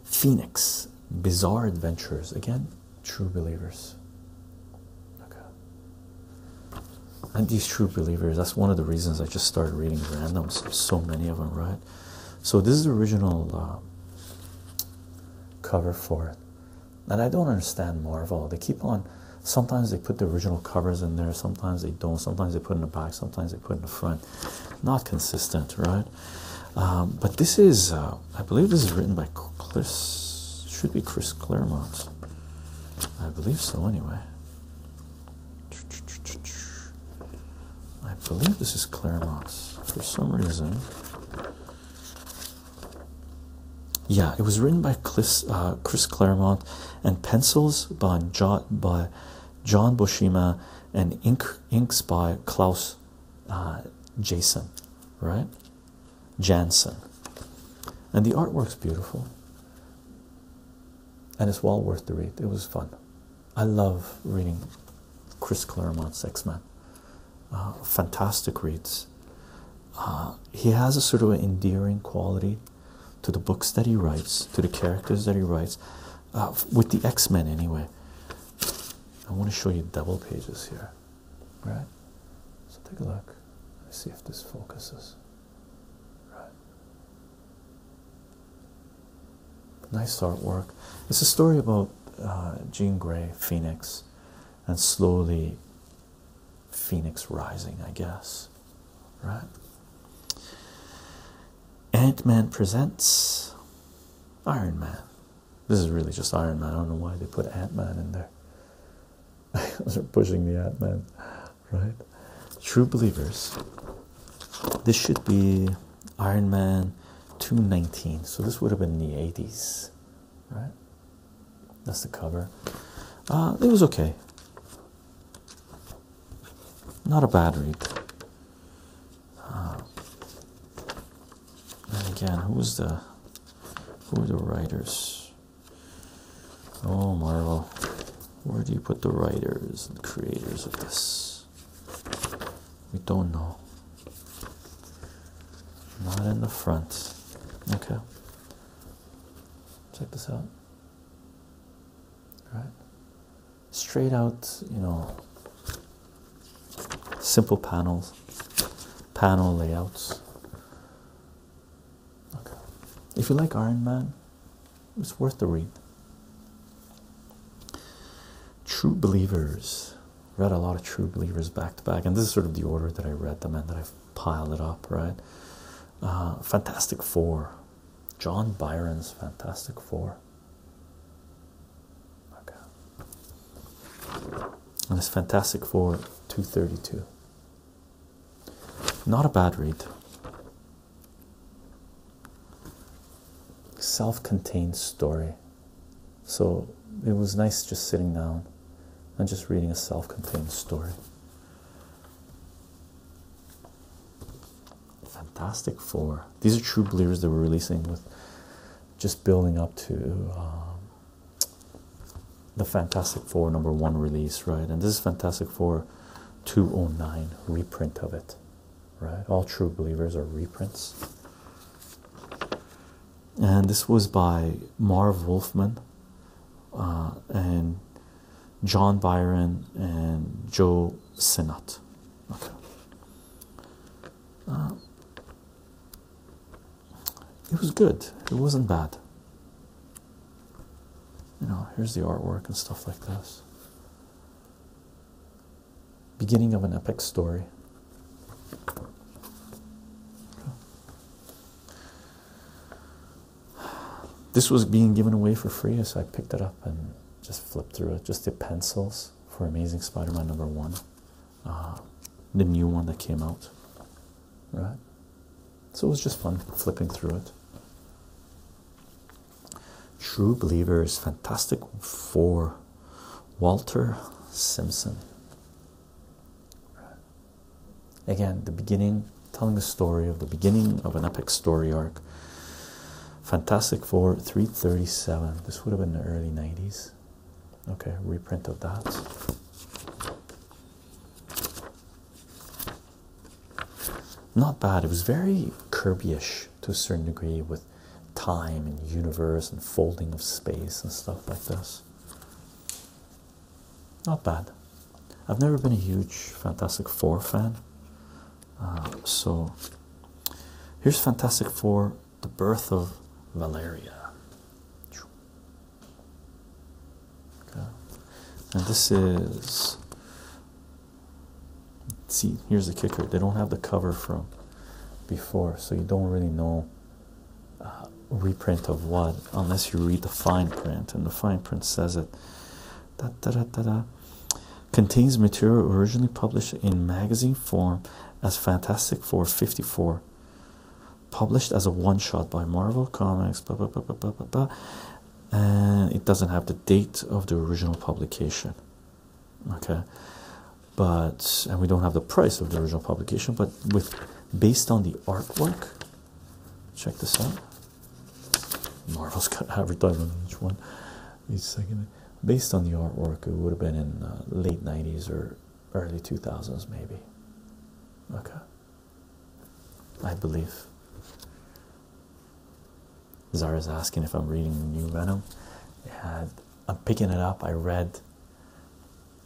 S1: Phoenix, Bizarre Adventures. Again, true believers. Okay. And these true believers, that's one of the reasons I just started reading randoms. So many of them, right? So this is the original um, cover for it. And I don't understand Marvel. They keep on Sometimes they put the original covers in there, sometimes they don't, sometimes they put in the back, sometimes they put in the front. Not consistent, right? Um, but this is, uh, I believe, this is written by Chris, should be Chris Claremont. I believe so, anyway. I believe this is Claremont For some reason, yeah, it was written by Chris, uh, Chris Claremont and pencils by John, by and inks by Klaus uh, right? Jansen. And the artwork's beautiful. And it's well worth the read. It was fun. I love reading Chris Claremont's X Men. Uh, fantastic reads. Uh, he has a sort of an endearing quality to the books that he writes, to the characters that he writes, uh, with the X Men anyway. I want to show you double pages here, right? So take a look. Let's see if this focuses. Right. Nice artwork. It's a story about uh, Jean Grey, Phoenix, and slowly Phoenix rising, I guess right? Ant Man presents Iron Man. This is really just Iron Man. I don't know why they put Ant Man in there. *laughs* They're pushing the Ant Man, right? True Believers. This should be Iron Man 219. So this would have been the 80s, right? That's the cover. Uh, it was okay. Not a bad read. Uh, and again, who was the who are the writers? Oh, Marvel, where do you put the writers and creators of this? We don't know. Not in the front. Okay. Check this out right? Straight out, you know, simple panels, panel layouts. Okay. If you like Iron Man, it's worth the read. True Believers. Read a lot of True Believers back to back, and this is sort of the order that I read them and that I've piled it up, right? Uh, Fantastic Four John Byron's Fantastic Four. Okay. And it's Fantastic Four 232. Not a bad read. Self contained story. So it was nice just sitting down and just reading a self contained story. Fantastic Four. These are true believers that we're releasing with just building up to um, the Fantastic Four number one release, right? And this is Fantastic Four 209 reprint of it, right? All true believers are reprints. And this was by Marv Wolfman. Uh, and John Byron and Joe Sinnott. Uh, it was good. It wasn't bad. You know, here's the artwork and stuff like this. Beginning of an epic story. This was being given away for free, so I picked it up and just flipped through it. Just the pencils for Amazing Spider Man number one, uh, the new one that came out, right? So it was just fun flipping through it. True Believers, Fantastic for Walter Simpson. Again, the beginning telling a story of the beginning of an epic story arc. Fantastic Four 337. This would have been the early 90s. Okay, reprint of that. Not bad. It was very Kirby-ish to a certain degree with time and universe and folding of space and stuff like this. Not bad. I've never been a huge Fantastic Four fan. Uh, so here's Fantastic Four The Birth of Valeria. And this is. See, here's the kicker. They don't have the cover from before, so you don't really know uh, reprint of what unless you read the fine print, and the fine print says it contains material originally published in magazine form as Fantastic Four 54, published as a one shot by Marvel Comics. And it doesn't have the date of the original publication, okay. But and we don't have the price of the original publication, but with based on the artwork, check this out. Marvel's got *laughs* advertising on each one. Each second. Based on the artwork, it would have been in uh, late 90s or early 2000s, maybe. Okay. I believe. Zara's asking if I'm reading the new Venom. and I'm picking it up. I read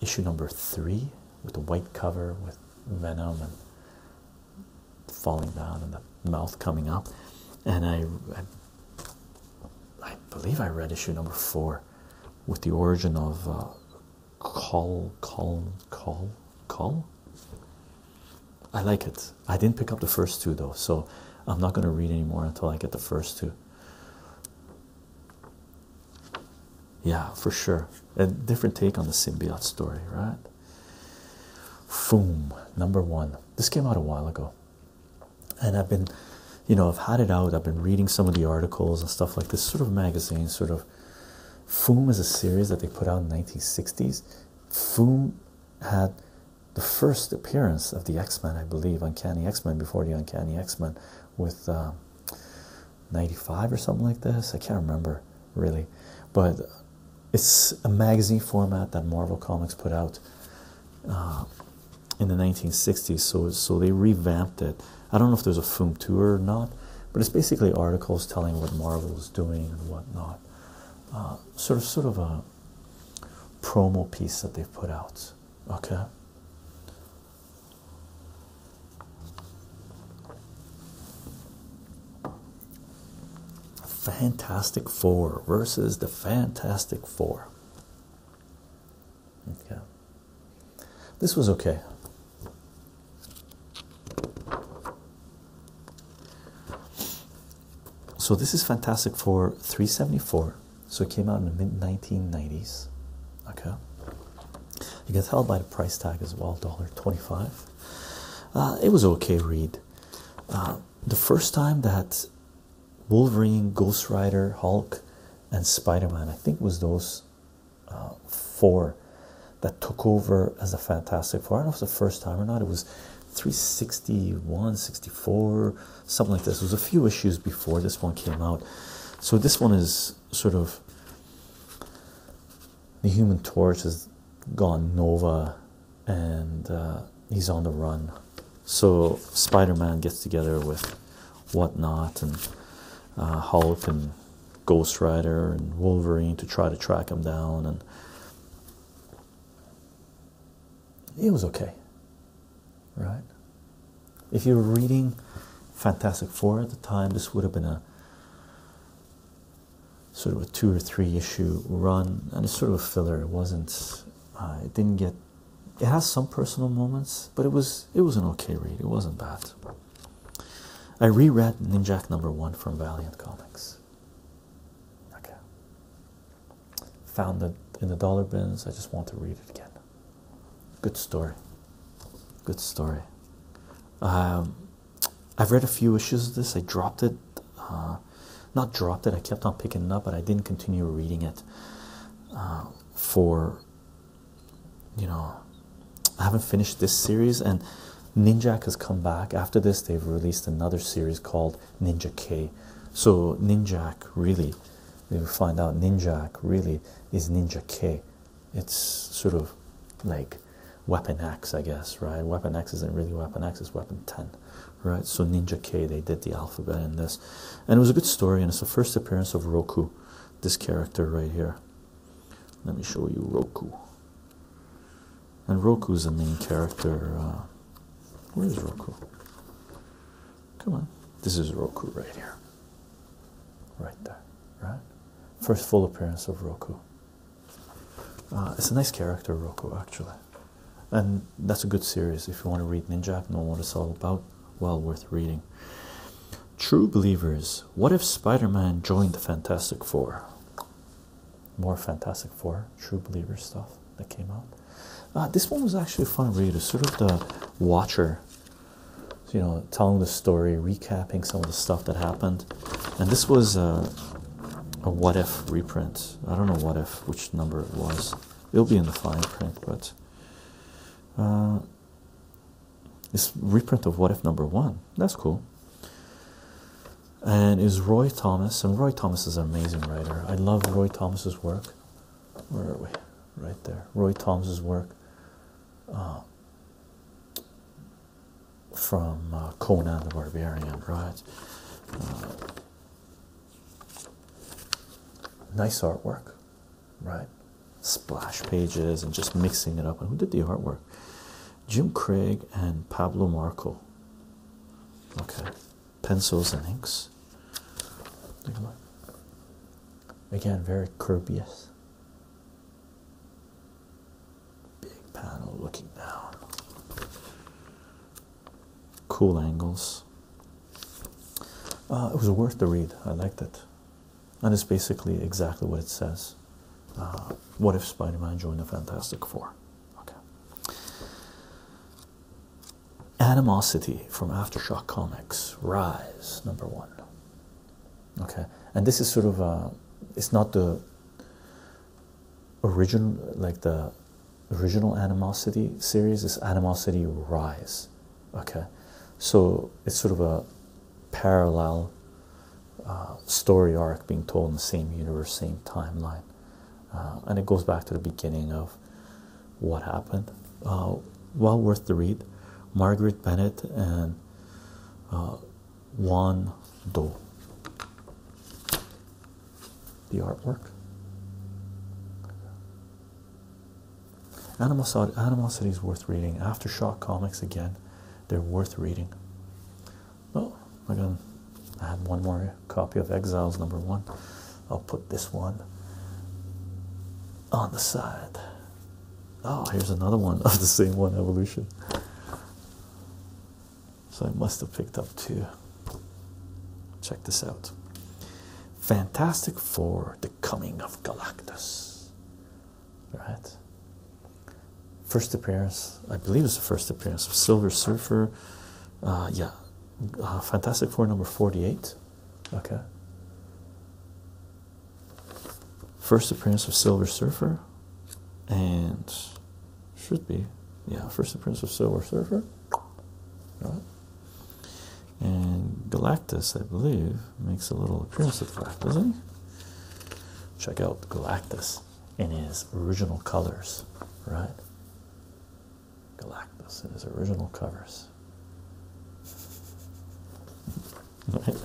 S1: issue number three with the white cover with Venom and falling down and the mouth coming up. And I, I, believe I read issue number four with the origin of uh, Call, Call, Call, Call. I like it. I didn't pick up the first two though, so I'm not going to read anymore until I get the first two. Yeah, for sure. A different take on the symbiote story, right? Foom, number one. This came out a while ago. And I've been, you know, I've had it out. I've been reading some of the articles and stuff like this sort of magazine, sort of. Foom is a series that they put out in the 1960s. Foom had the first appearance of the X Men, I believe, Uncanny X Men before the Uncanny X Men with uh, 95 or something like this. I can't remember really, but it's a magazine format that Marvel Comics put out uh, in the 1960s. So so they revamped it. I don't know if there's a film tour or not, but it's basically articles telling what Marvel is doing and whatnot. Uh, sort of sort of a promo piece that they've put out. Okay. Fantastic Four versus the Fantastic Four. Okay. This was okay. So this is Fantastic Four 374. So it came out in the mid 1990s. Okay. You can tell by the price tag as well, $1.25. Uh, it was okay read. Uh, the first time that Wolverine, Ghost Rider, Hulk, and Spider Man, I think, was those uh, four that took over as the Fantastic Four. I don't know if it was the first time or not, it was 361, 64, something like this. It was a few issues before this one came out. So this one is sort of the Human Torch has gone Nova and uh, he's on the run. So Spider Man gets together with whatnot and uh, Hulk and Ghost Rider and Wolverine to try to track him down, and it was okay, right? If you were reading Fantastic Four at the time, this would have been a sort of a two or three issue run, and it's sort of a filler. It wasn't. Uh, it didn't get. It has some personal moments, but it was it was an okay read. It wasn't bad. I reread Ninjak number one from Valiant Comics. Okay. Found it in the dollar bins. I just want to read it again. Good story. Good story. Um, I've read a few issues of this. I dropped it uh, not dropped it. I kept on picking it up, but I didn't continue reading it uh, for you know. I haven't finished this series, and Ninjak has come back. After this, they've released another series called Ninja K. So Ninjak really, you find out Ninjak really is Ninja K. It's sort of like Weapon X, I guess, right? Weapon X isn't really Weapon X; it's Weapon Ten right? So Ninja K, they did the alphabet in this, and it was a good story. And it's the first appearance of Roku, this character right here. Let me show you Roku. And Roku is the main character. Uh, where is Roku? Come on, this is Roku right here, right there, right? First full appearance of Roku, uh, it's a nice character, Rocco, actually. And that's a good series. If you want to read Ninja, know what it's all about. Well worth reading. True believers. What if Spider-Man joined the Fantastic Four? More Fantastic Four, True Believer stuff that came out. Uh, this one was actually a fun read. It's sort of the Watcher, you know, telling the story, recapping some of the stuff that happened. And this was a what if reprint. I don't know what if, which number it was. It'll be in the fine print, but uh, it's reprint of what if number one. That's cool. And is Roy Thomas, and Roy Thomas is an amazing writer. I love Roy Thomas's work. Where are we? Right there. Roy Thomas's work um, from uh, Conan the Barbarian, right? Uh, Nice artwork, right? Splash pages and just mixing it up. And who did the artwork? Jim Craig and Pablo Marco. Okay, pencils and inks. Again, very courteous. Big panel looking down cool angles. Uh, it was worth the read. I liked it, and it's basically exactly what it says. Uh, what if Spider-Man joined the Fantastic Four? Okay. Animosity from Aftershock Comics, Rise number one. Okay, and this is sort of a. Uh, it's not the original, like the original animosity series is animosity rise okay so it's sort of a parallel uh, story arc being told in the same universe same timeline uh, and it goes back to the beginning of what happened uh, well worth the read margaret bennett and juan doe the artwork. Animosity, Animosity is worth reading. Aftershock comics again, they're worth reading. Oh, again, I have one more copy of Exiles number one. I'll put this one on the side. Oh, here's another one of the same one, Evolution. So I must have picked up too. Check this out Fantastic Four The Coming of Galactus. Right? First appearance, I believe it's the first appearance of Silver Surfer. Uh, yeah, uh, Fantastic Four number 48. Okay. First appearance of Silver Surfer and should be. Yeah, first appearance of Silver Surfer. Right. And Galactus, I believe, makes a little appearance at that, doesn't he? Check out Galactus in his original colors, right? Galactus in his original covers. *laughs* right.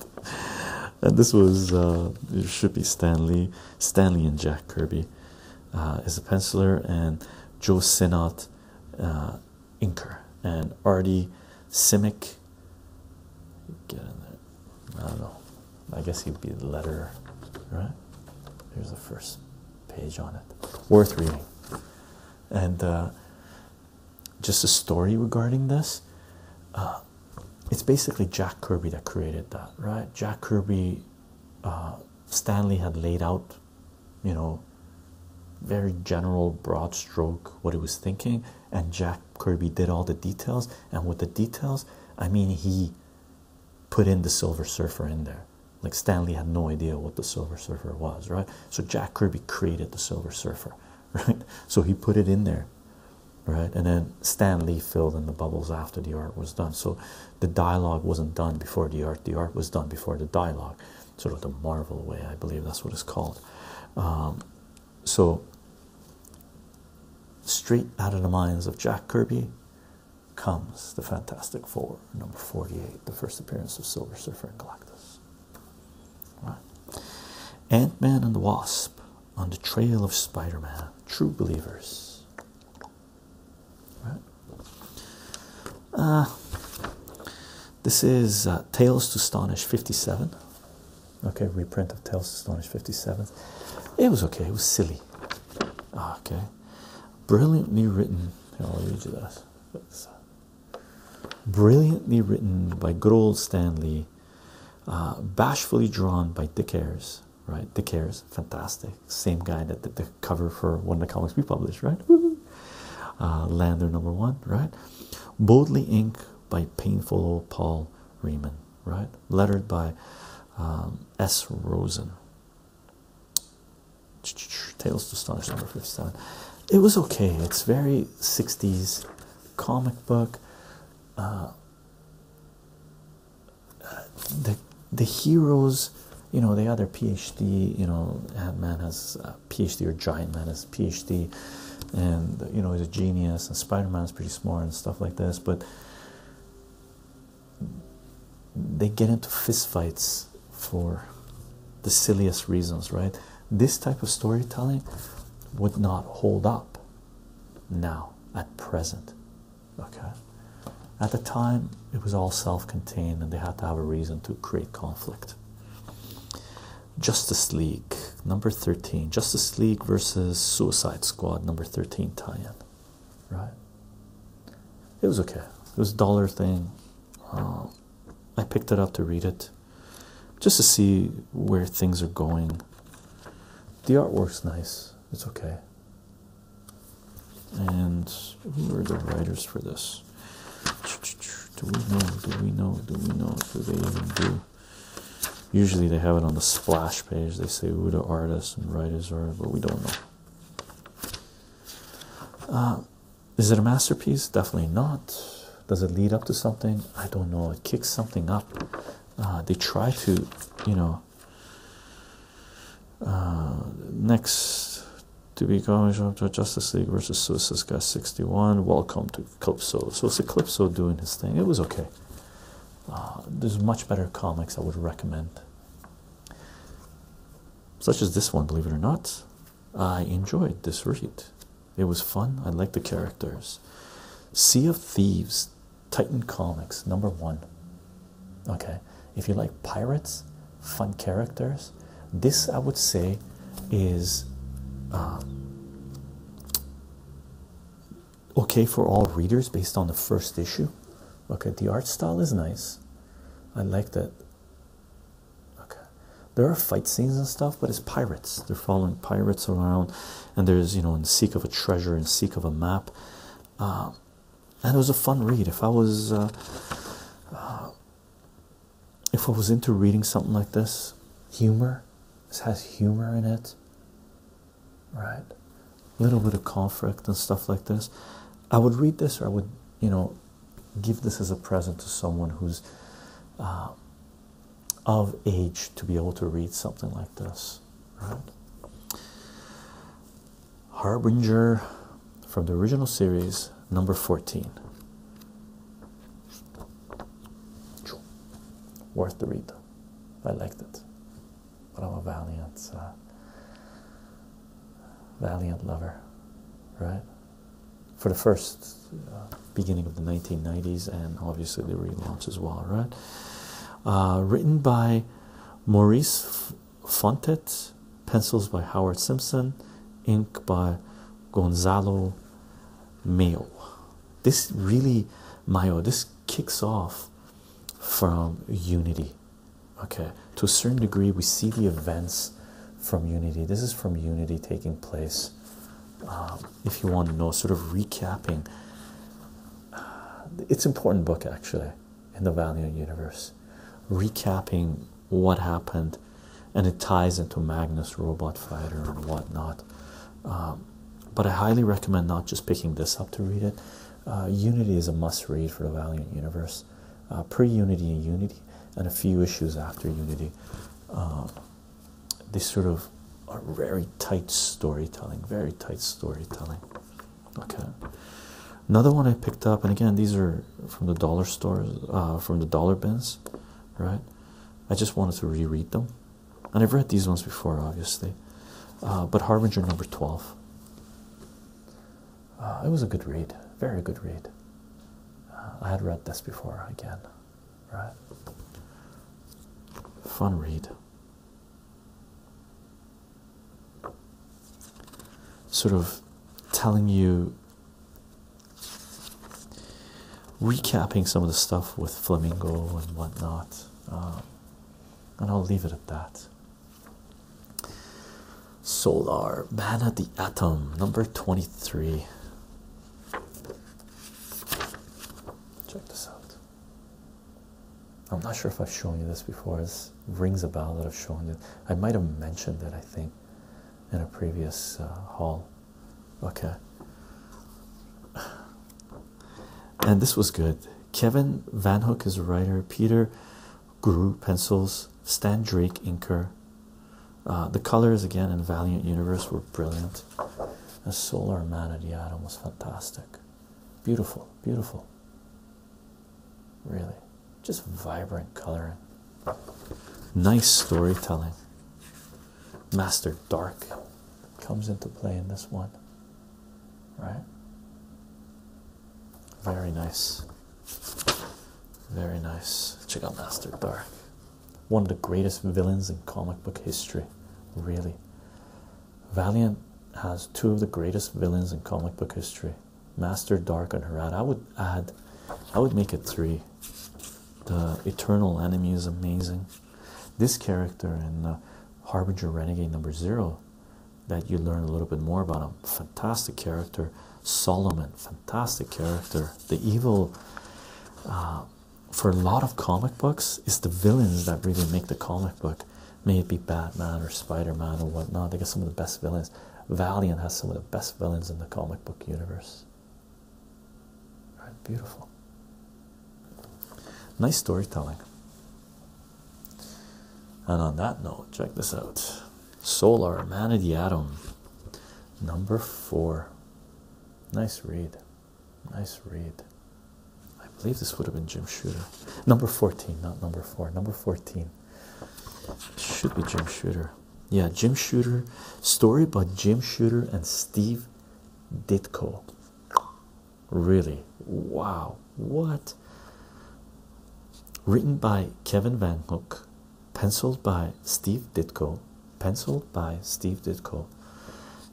S1: And this was uh, should be Stanley, Stanley and Jack Kirby uh, is a penciler, and Joe Sinnott, uh, inker, and Artie Simic. Get in there. I don't know. I guess he'd be the letter, right? Here's the first page on it. Worth reading. And uh, just a story regarding this. it's basically Jack Kirby that created that, right? Jack Kirby uh, Stanley had laid out, you know, very general, broad stroke what he was thinking, and Jack Kirby did all the details. And with the details, I mean, he put in the Silver Surfer in there. Like Stanley had no idea what the Silver Surfer was, right? So Jack Kirby created the Silver Surfer, *laughs* right? So he put it in there, right? And then Stanley filled in the bubbles after the art was done. So the dialogue wasn't done before the art, the art was done before the dialogue, sort of the Marvel way, I believe that's what it's called. Um, so, straight out of the minds of Jack Kirby comes the Fantastic Four, number 48, the first appearance of Silver Surfer and Galactus. Right. Ant Man and the Wasp on the trail of Spider Man, true believers. Right? Uh, this is uh, Tales to Astonish 57. Okay, reprint of Tales to Astonish 57. It was okay, it was silly. Ah, okay, brilliantly written. Here, i read you this. brilliantly written by good old Stanley, uh, bashfully drawn by Dick Ayers. Right, Dick Ayers, fantastic. Same guy that did the cover for one of the comics we published, right? *laughs* Uh, Lander number one, right? Boldly inked by Painful Old Paul Riemann, right? Lettered by um, S. Rosen. *tsk* Tales to Astonish number 57. It was okay. It's very 60s comic book. Uh, the the heroes, you know, they had their PhD. You know, Ant Man has a uh, PhD, or Giant Man has a PhD, and you know he's a genius. And Spider Man is pretty smart and stuff like this. But they get into fistfights for the silliest reasons, right? This type of storytelling would not hold up now at present okay at the time it was all self-contained and they had to have a reason to create conflict justice league number 13 justice league versus suicide squad number 13 tie-in right it was okay it was a dollar thing um, i picked it up to read it just to see where things are going the artwork's nice it's okay and who are the writers for this? Do we know? Do we know? Do we know? Do they even do? Usually they have it on the splash page. They say who the artists and writers are, but we don't know. Uh, is it a masterpiece? Definitely not. Does it lead up to something? I don't know. It kicks something up. Uh, they try to, you know. Uh, next to be commented to Justice League versus Suicide Guy 61. Welcome to Calypso. So it's Calypso doing his thing. It was okay. Uh, there's much better comics I would recommend, such as this one. Believe it or not, I enjoyed this read. It was fun. I liked the characters. Sea of Thieves, Titan Comics, number one okay if you like pirates fun characters this i would say is uh, okay for all readers based on the first issue okay the art style is nice i like that okay there are fight scenes and stuff but it's pirates they're following pirates around and there's you know in seek of a treasure in seek of a map um, and it was a fun read. If I was uh, uh, if I was into reading something like this, humor, this has humor in it, right? A little bit of conflict and stuff like this. I would read this, or I would, you know, give this as a present to someone who's uh, of age to be able to read something like this, right? Harbinger from the original series, number 14. Worth the read. I liked it. But I'm a valiant, uh, valiant lover, right? For the first uh, beginning of the 1990s and obviously the relaunch as well, right? Uh, written by Maurice Fontet, pencils by Howard Simpson, ink by Gonzalo Mayo. This really, Mayo, this kicks off from Unity. Okay, to a certain degree, we see the events from Unity. This is from Unity taking place. Um, if you want to know, sort of recapping. It's important book actually in the Valiant universe, recapping what happened, and it ties into Magnus Robot Fighter and whatnot. Um, but I highly recommend not just picking this up to read it. Uh, Unity is a must read for the Valiant universe. Uh, pre Unity and Unity, and a few issues after Unity. Um, these sort of are very tight storytelling, very tight storytelling. Okay. Another one I picked up, and again, these are from the dollar stores uh, from the dollar bins, right? I just wanted to reread them, and I've read these ones before, obviously. Uh, but Harbinger number twelve. Uh, it was a good read, very good read. I had read this before again, right? Fun read sort of telling you, recapping some of the stuff with Flamingo and whatnot. Uh, and I'll leave it at that. Solar, Man the Atom, number 23. Check this out. I'm not sure if I've shown you this before. This rings a bell that I've shown you. I might have mentioned it, I think in a previous uh, hall, Okay. And this was good. Kevin Van Hook is a writer. Peter Guru pencils. Stan Drake inker. Uh, the colors again in Valiant Universe were brilliant. The Solar Man of the Atom was fantastic. Beautiful, beautiful really just vibrant coloring nice storytelling master dark comes into play in this one right very nice very nice check out master dark one of the greatest villains in comic book history really valiant has two of the greatest villains in comic book history Master Dark and Harad. I would add, I would make it three. The Eternal Enemy is amazing. This character in uh, Harbinger Renegade number zero, that you learn a little bit more about him. Um, fantastic character. Solomon, fantastic character. The evil, uh, for a lot of comic books, is the villains that really make the comic book. May it be Batman or Spider Man or whatnot. They get some of the best villains. Valiant has some of the best villains in the comic book universe. beautiful. Nice storytelling. And on that note, check this out. Solar, Man of the Atom, number four. Nice read. Nice read. I believe this would have been Jim Shooter. Number 14, not number four. Number 14. Should be Jim Shooter. Yeah, Jim Shooter. Story by Jim Shooter and Steve Ditko. Really? Wow. What? Written by Kevin Van Hook, penciled by Steve Ditko, penciled by Steve Ditko,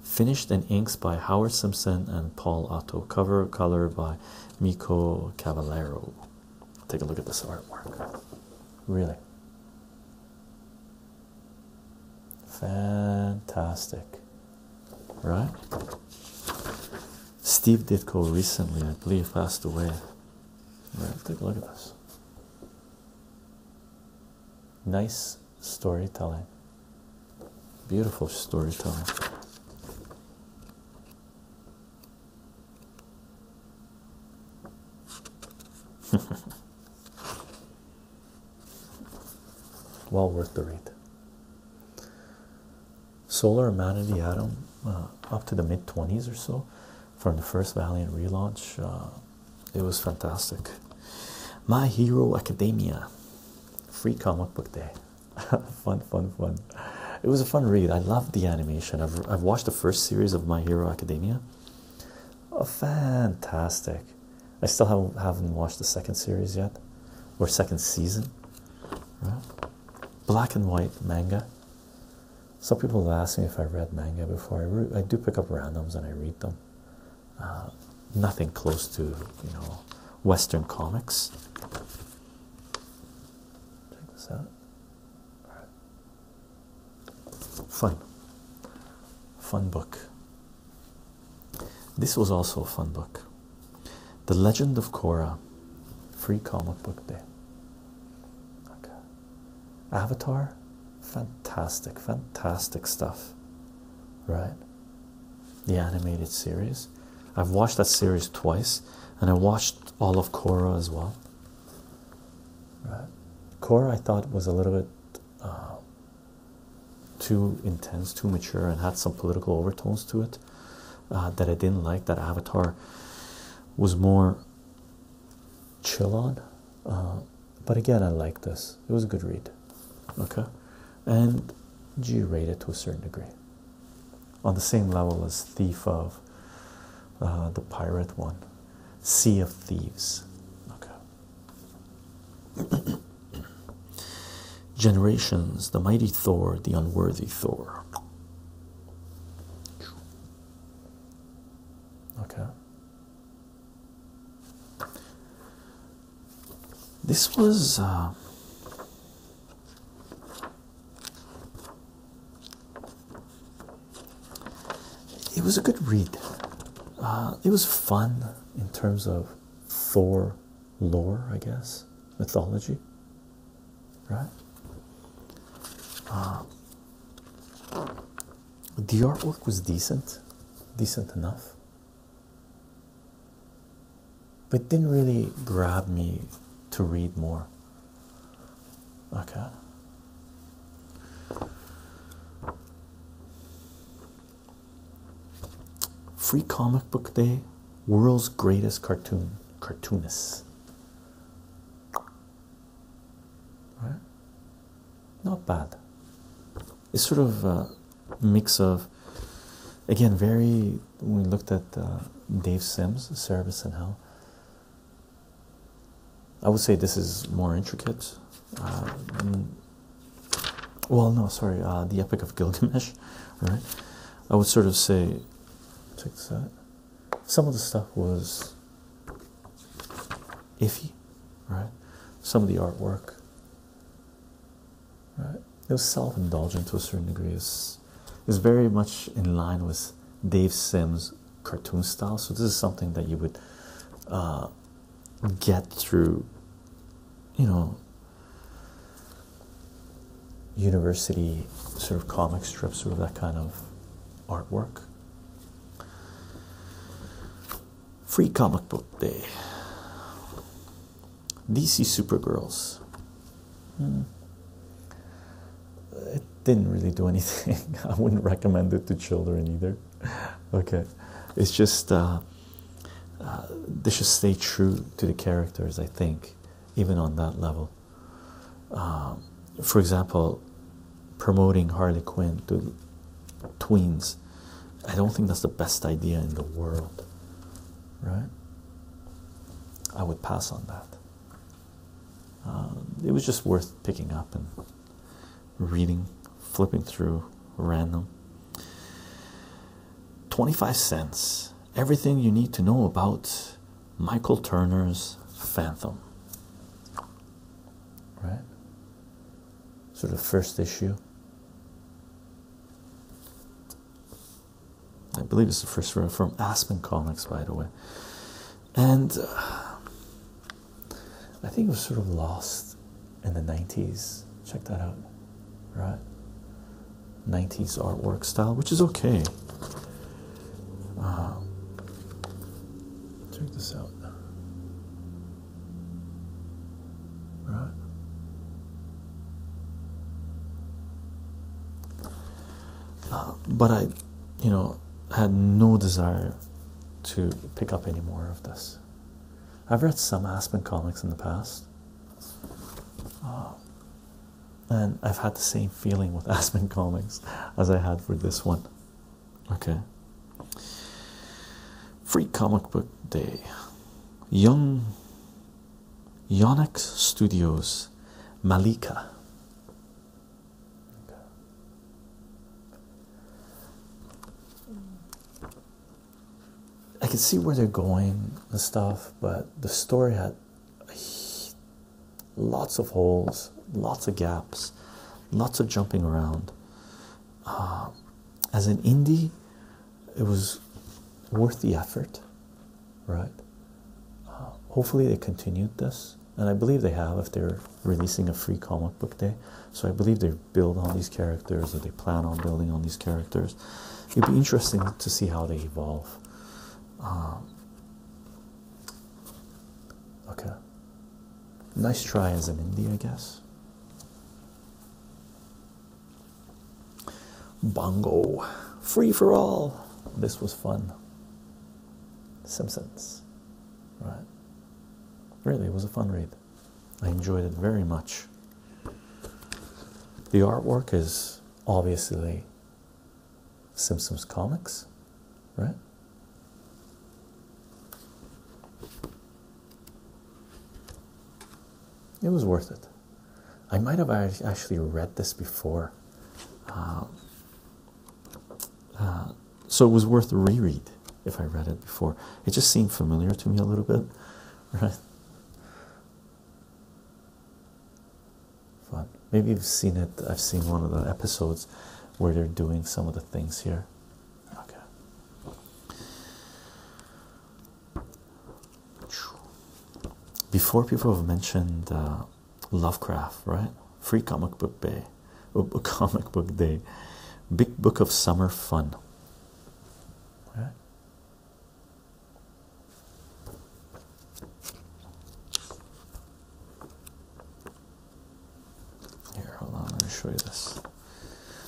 S1: finished in inks by Howard Simpson and Paul Otto, cover color by Miko Cavallero. Take a look at this artwork. Really fantastic, right? Steve Ditko recently, I believe, passed away. Right, take a look at this. Nice storytelling, beautiful storytelling. *laughs* well worth the read. Solar the Atom uh, up to the mid 20s or so from the first Valiant relaunch. Uh, it was fantastic. My Hero Academia, free comic book day. *laughs* fun, fun, fun. It was a fun read. I loved the animation. I've I've watched the first series of My Hero Academia. Oh, fantastic! I still haven't haven't watched the second series yet, or second season. Black and white manga. Some people have asked me if I read manga before. I I do pick up randoms and I read them. Uh, nothing close to you know Western comics. Check this out. Fun, fun book. This was also a fun book. The Legend of Korra, free comic book day. Avatar, fantastic, fantastic stuff, right? The animated series. I've watched that series twice, and I watched all of Korra as well core I thought was a little bit uh, too intense, too mature, and had some political overtones to it uh, that I didn't like. That Avatar was more chill on, uh, but again, I like this. It was a good read, okay, and G rated to a certain degree, on the same level as Thief of uh, the pirate one, Sea of Thieves. Okay. *coughs* Generations, the mighty Thor, the unworthy Thor. Okay. This was uh, it was a good read. Uh, it was fun in terms of Thor lore, I guess, mythology, right? Uh, the artwork was decent, decent enough, but didn't really grab me to read more. Okay. Free comic book day, world's greatest cartoon cartoonists. Right? Not bad. It's sort of a mix of again very we looked at uh, Dave Sims, Cerebus and Hell. I would say this is more intricate. Uh, well, no, sorry, uh, the Epic of Gilgamesh, *laughs* I would sort of say, check this out. Some of the stuff was iffy, right? Some of the artwork, right? It was self indulgent to a certain degree. It's, it's very much in line with Dave Sims' cartoon style. So this is something that you would uh, get through, you know, university sort of comic strips, sort of that kind of artwork. Free comic book day. DC Super Girls. Hmm it didn't really do *laughs* anything. I wouldn't recommend it to children either. Okay, it's just uh, uh, they should stay true to the characters, I think, even on that level. Um, for example, promoting Harley Quinn to tweens, I don't think that's the best idea in the world, right? I would pass on that. Um, it was just worth picking up and reading, flipping through random. 25 cents. Everything you need to know about Michael Turner's Phantom. Right? Sort of first issue. I believe it's the first from Aspen Comics, by the way and uh, I think it was sort of lost in the 90s. Check that out, right? 90s artwork style, which is okay. Uh, check this out, right? Uh, but I, you know, had no desire to pick up any more of this. I've read some Aspen comics in the past, um, and I've had the same feeling with *laughs* Aspen comics as I had for this one. Okay. Free comic book day. Young Yonex Studios Malika I can see where they're going and stuff, but the story had lots of holes, lots of gaps, lots of jumping around. Uh, as an indie, it was worth the effort, right? Uh, hopefully, they continued this and I believe they have if they're releasing a free comic book day. So I believe they build on these characters or they plan on building on these characters. It'd be interesting to see how they evolve. Um, okay. Nice try as an indie, I guess. Bongo. Free for all. This was fun. Simpsons. right? Really, it was a fun read. I enjoyed it very much. The artwork is obviously Simpsons comics, right? It was worth it. I might have actually read this before. Um, uh, so it was worth reread if I read it before. It just seemed familiar to me a little bit, *laughs* right? Fun. Maybe you've seen it. I've seen one of the episodes where they're doing some of the things here. Okay. Before people have mentioned uh, Lovecraft, right? Free comic book day, *laughs* comic book day, big book of summer fun. Right? Here, hold on, let me show you this.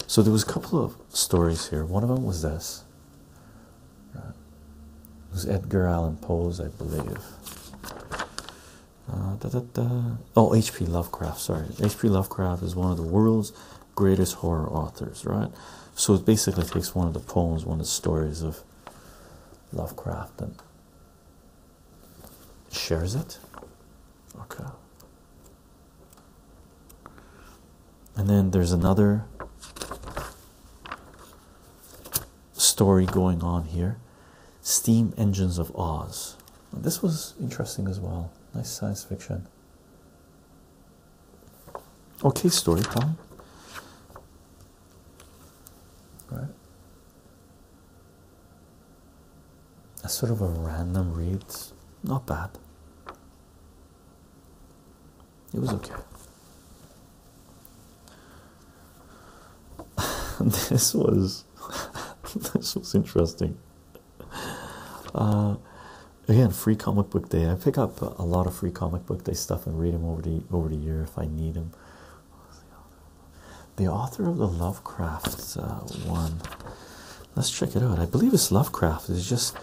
S1: So there was a couple of stories here. One of them was this. It was Edgar Allan Poe's, I believe. Uh, oh, H.P. Lovecraft. Sorry, H.P. Lovecraft is one of the world's greatest horror authors, right? So it basically takes one of the poems, one of the stories of Lovecraft, and shares it. Okay. And then there's another story going on here. Steam Engines of Oz. This was interesting as well. Nice science fiction. Okay, story time. Right. That's sort of a random read. Not bad. It was okay. *laughs* this was *laughs* this was interesting uh, again free comic book day i pick up a lot of free comic book day stuff and read them over the over the year if i need them the author of the Lovecrafts uh, one let's check it out i believe it's lovecraft it's just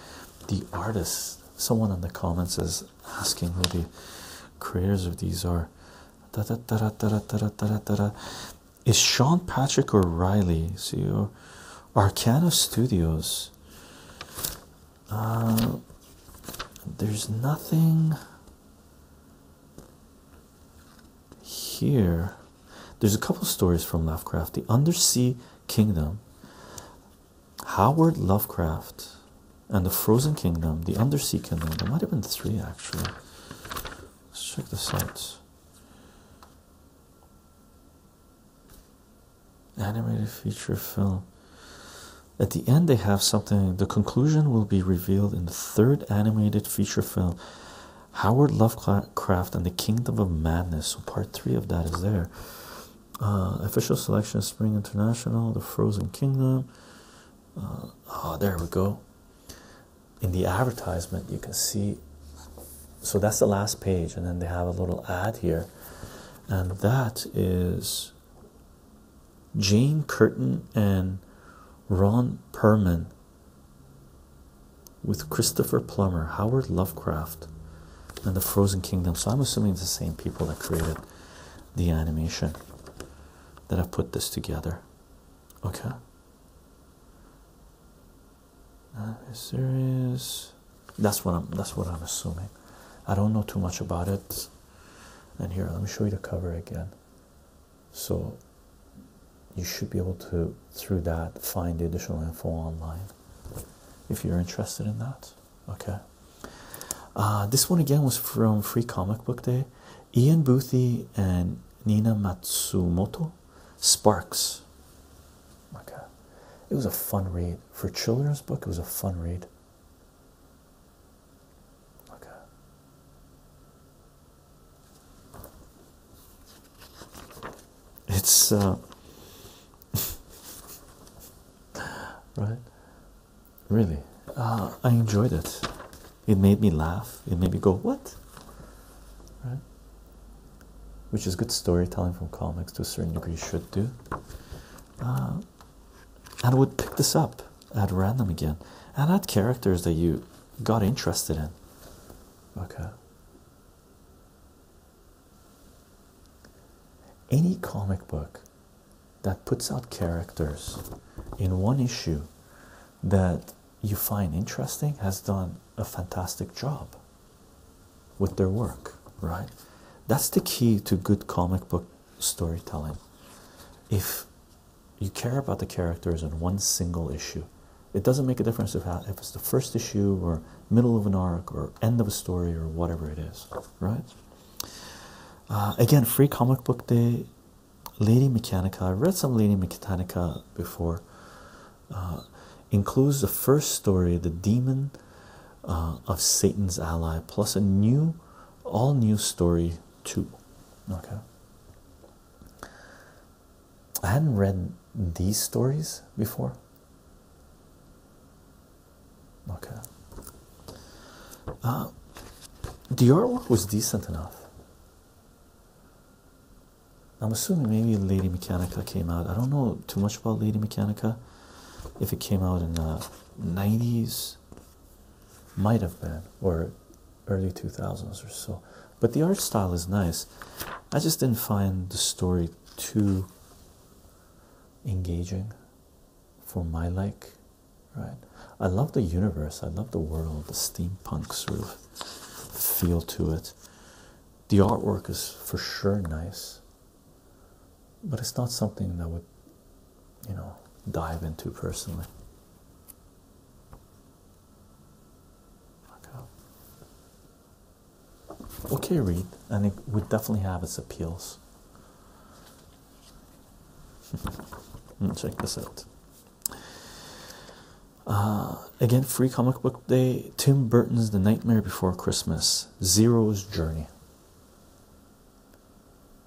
S1: the artist someone in the comments is asking who the creators of these are is Sean Patrick O'Reilly CEO? Arcana Studios. Uh, there's nothing here. There's a couple stories from Lovecraft. The Undersea Kingdom. Howard Lovecraft and the Frozen Kingdom, the Undersea Kingdom. There might have been three actually. Let's check the out. Animated feature film. At the end, they have something. The conclusion will be revealed in the third animated feature film, Howard Lovecraft and the Kingdom of Madness. So, part three of that is there. Uh, official selection Spring International, The Frozen Kingdom. Uh, oh, there we go in the advertisement you can see so that's the last page and then they have a little ad here and that is Jane Curtin and Ron Perman with Christopher Plummer, Howard Lovecraft, and the Frozen Kingdom. So I'm assuming it's the same people that created the animation that have put this together. Okay. Uh, is there is that's what I'm that's what I'm assuming. I don't know too much about it. And here, let me show you the cover again. So you should be able to through that find the additional info online if you're interested in that. Okay. Uh, this one again was from Free Comic Book Day. Ian Boothie and Nina Matsumoto Sparks. Okay, it was a fun read for children's book. It was a fun read. Okay. It's uh, *laughs* right, really. Uh, I enjoyed it. It made me laugh. It made me go, what? Right? Which is good storytelling from comics to a certain degree should do. Uh, and would pick this up at random again. And add characters that you got interested in. Okay. Any comic book that puts out characters in one issue that you find interesting has done a fantastic job with their work, right? That's the key to good comic book storytelling. If you care about the characters in one single issue, it doesn't make a difference if it's the first issue or middle of an arc or end of a story or whatever it is, right? Uh, again, free comic book day Lady Mechanica. I read some Lady Mechanica before. Uh, includes the first story, the demon uh, of Satan's ally, plus a new, all new story too. Okay. I hadn't read these stories before. Okay. the uh, artwork was decent enough. I'm assuming maybe Lady Mechanica came out. I don't know too much about Lady Mechanica. If it came out in uh, the 90s, might have been, or early 2000s or so. But the art style is nice. I just didn't find the story too engaging for my like, right? I love the universe, I love the world, the steampunk sort of feel to it. The artwork is for sure nice, but it's not something that would, you know, dive into personally. Okay, Reed, and it would definitely have its appeals. *laughs* Let's Check this out. Uh, again, free comic book day. Tim Burton's The Nightmare Before Christmas, Zero's Journey.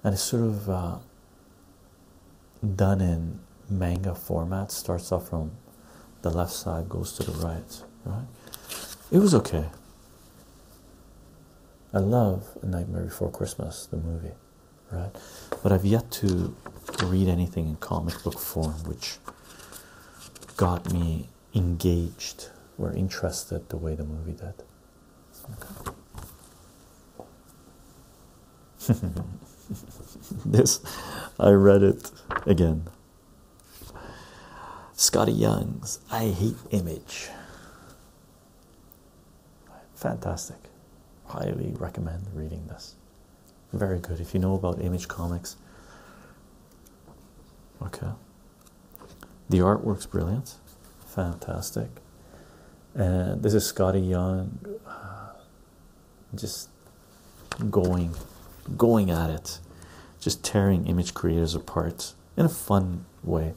S1: And it's sort of uh, done in manga format. Starts off from the left side, goes to the right. Right? It was okay. I love A Nightmare Before Christmas, the movie right? But I've yet to read anything in comic book form which got me engaged or interested the way the movie did. *laughs* this, I read it again. Scotty Young's I Hate Image. Fantastic. Highly recommend reading this. Very good if you know about Image Comics. Okay. The artwork's brilliant. Fantastic. And this is Scotty Young uh, just going going at it. Just tearing image creators apart in a fun way.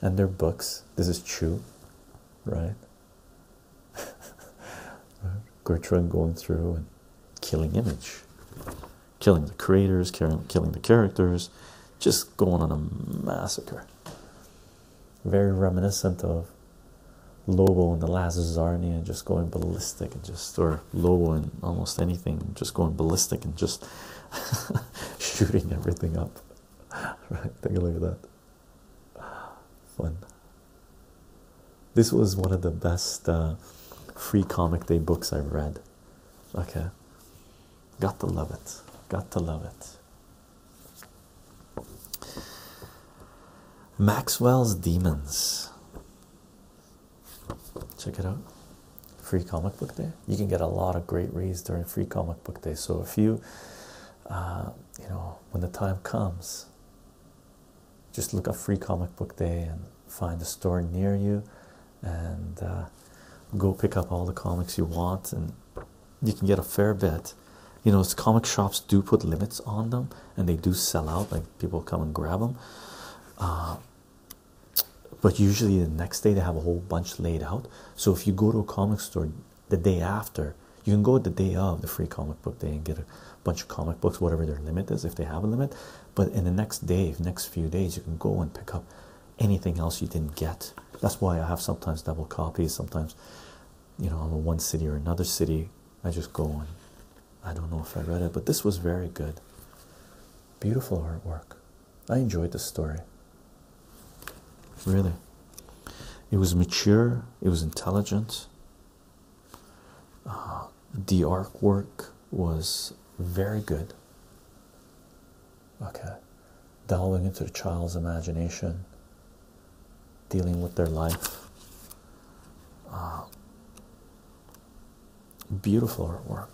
S1: And their books. This is true, right? *laughs* Gertrude going through and killing image, killing the creators, killing the characters, just going on a massacre. Very reminiscent of Lobo and the Last Zarnia, just going ballistic and just, or Lobo and almost anything, just going ballistic and just *laughs* shooting everything up. *laughs* Right, take a look at that. Fun. This was one of the best uh, free comic day books I've read. Okay, got to love it. Got to love it. Maxwell's Demons. Check it out. Free comic book day. You can get a lot of great reads during free comic book day. So if you, uh, you know, when the time comes, just look up free comic book day and find a store near you and uh, go pick up all the comics you want and you can get a fair bit you know comic shops do put limits on them and they do sell out like people come and grab them uh, but usually the next day they have a whole bunch laid out so if you go to a comic store the day after you can go the day of the free comic book day and get a bunch of comic books, whatever their limit is, if they have a limit. But in the next day, next few days, you can go and pick up anything else you didn't get. That's why I have sometimes double copies. Sometimes, you know, I'm in one city or another city. I just go and I don't know if I read it, but this was very good. Beautiful artwork. I enjoyed the story. Really. It was mature, it was intelligent, uh, the artwork was very good. Okay, delving into the child's imagination, dealing with their life. Uh, beautiful artwork.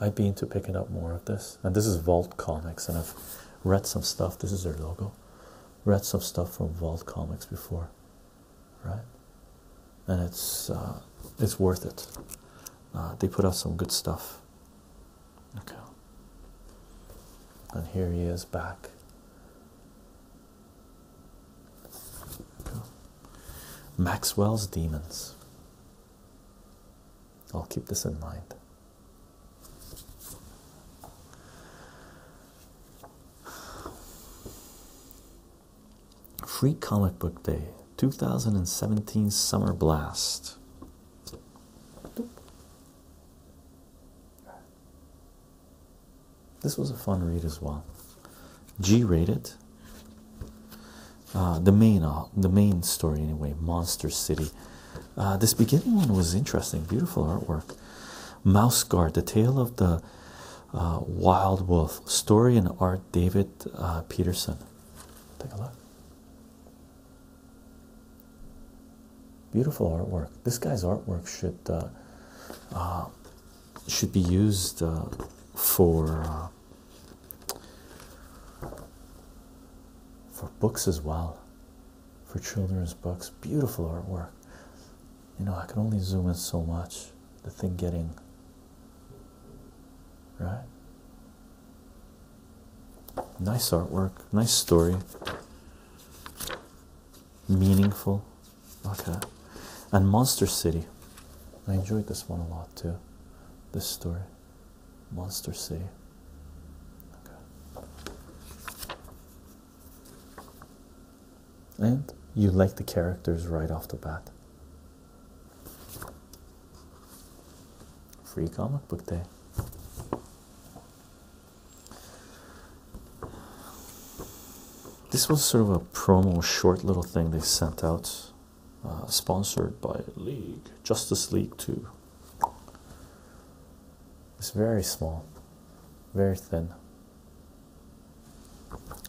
S1: i have been to picking up more of this. And this is Vault Comics, and I've read some stuff. This is their logo read some stuff from Vault Comics before, right? And it's uh, it's worth it. Uh, they put out some good stuff. Okay. And here he is back. Maxwell's demons. I'll keep this in mind. Free Comic Book Day 2017 Summer Blast. This was a fun read as well. G rated. Uh, the main, uh, the main story anyway. Monster City, uh, this beginning one was interesting, beautiful artwork. Mouse Guard, the tale of the uh, wild wolf, story and art, David uh, Peterson. Take a look. Beautiful artwork. This guy's artwork should should be used for for books as well for children's books. Beautiful artwork. You know, I can only zoom in so much. The thing getting right. Nice artwork, nice story, meaningful. Okay. And Monster City. I enjoyed this one a lot too. This story. Monster City. Okay and you like the characters right off the bat. Free comic book day. This was sort of a promo, short little thing they sent out, uh, sponsored by League Justice League 2. It's very small, very thin.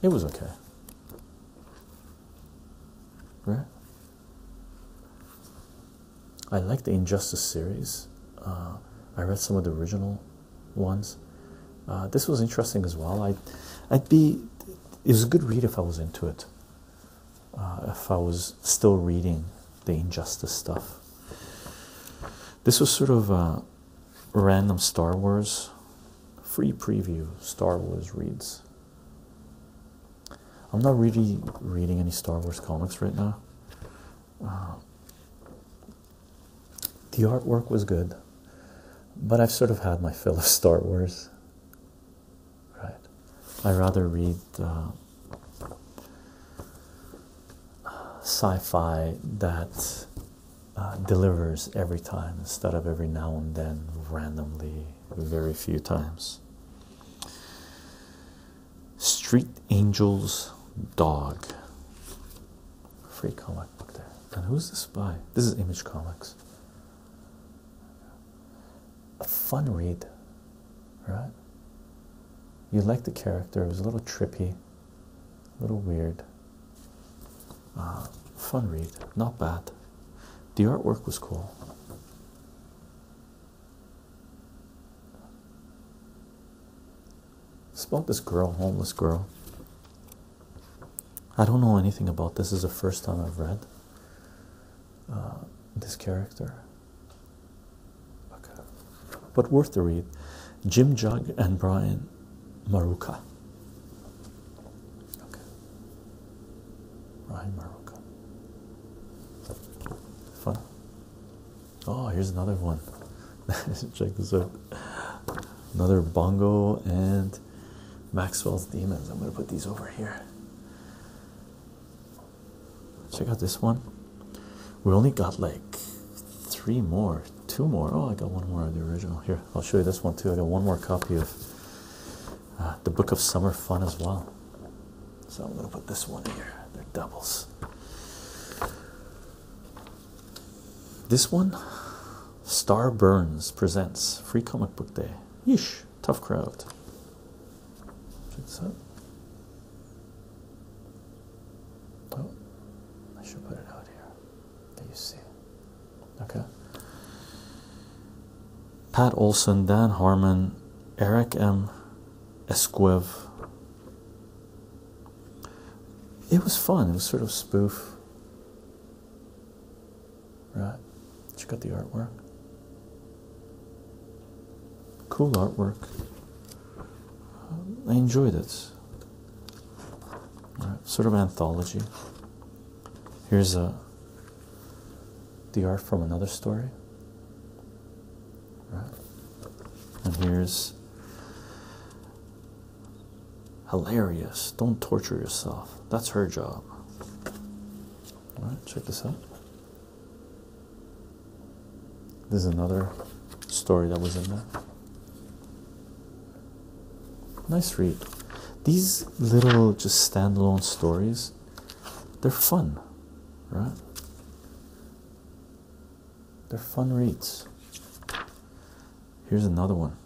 S1: It was okay. Right? I like the Injustice series. Uh, I read some of the original ones. Uh, this was interesting as well. I'd, I'd be, it was a good read if I was into it. Uh, if I was still reading the injustice stuff. This was sort of random Star Wars free preview, Star Wars reads. I'm not really reading any Star Wars comics right now. Uh, the artwork was good, but I've sort of had my fill of Star Wars. Right, I rather read uh, sci fi that uh, delivers every time instead of every now and then, randomly, very few times. Street Angels Dog. Free comic book there. And who's this by? This is Image Comics. A fun read, right? You like the character, it was a little trippy a little weird uh, fun read not bad the artwork was cool about this girl homeless girl I don't know anything about this. is the first time I've read uh, this character but worth the read. Jim Jug and Brian Maruka. Brian Maruka. Fun. Oh, here's another one. *laughs* Check this out. Another bongo and Maxwell's Demons. I'm going to put these over here. Check out this one. We only got like three more, two more. Oh, I got one more of the original here. I'll show you this one too. I got one more copy of uh, the Book of Summer Fun as well. So I'm gonna put this one here. They're doubles. This one, Star Burns presents Free Comic Book Day. Yeesh, tough crowd. Check this Oh, I should put it out here that you see. Okay. Pat Olson, Dan Harmon, Eric M. Esquiv. It was fun. It was sort of spoof. Right. Check out the artwork. Cool artwork. I enjoyed it. sort of anthology. Here's a uh, the art from another story. Right. And here's hilarious. Don't torture yourself. That's her job. All right, check this out. This is another story that was in there. Nice read. These little just standalone stories, they're fun, right? They're fun reads. Here's another one.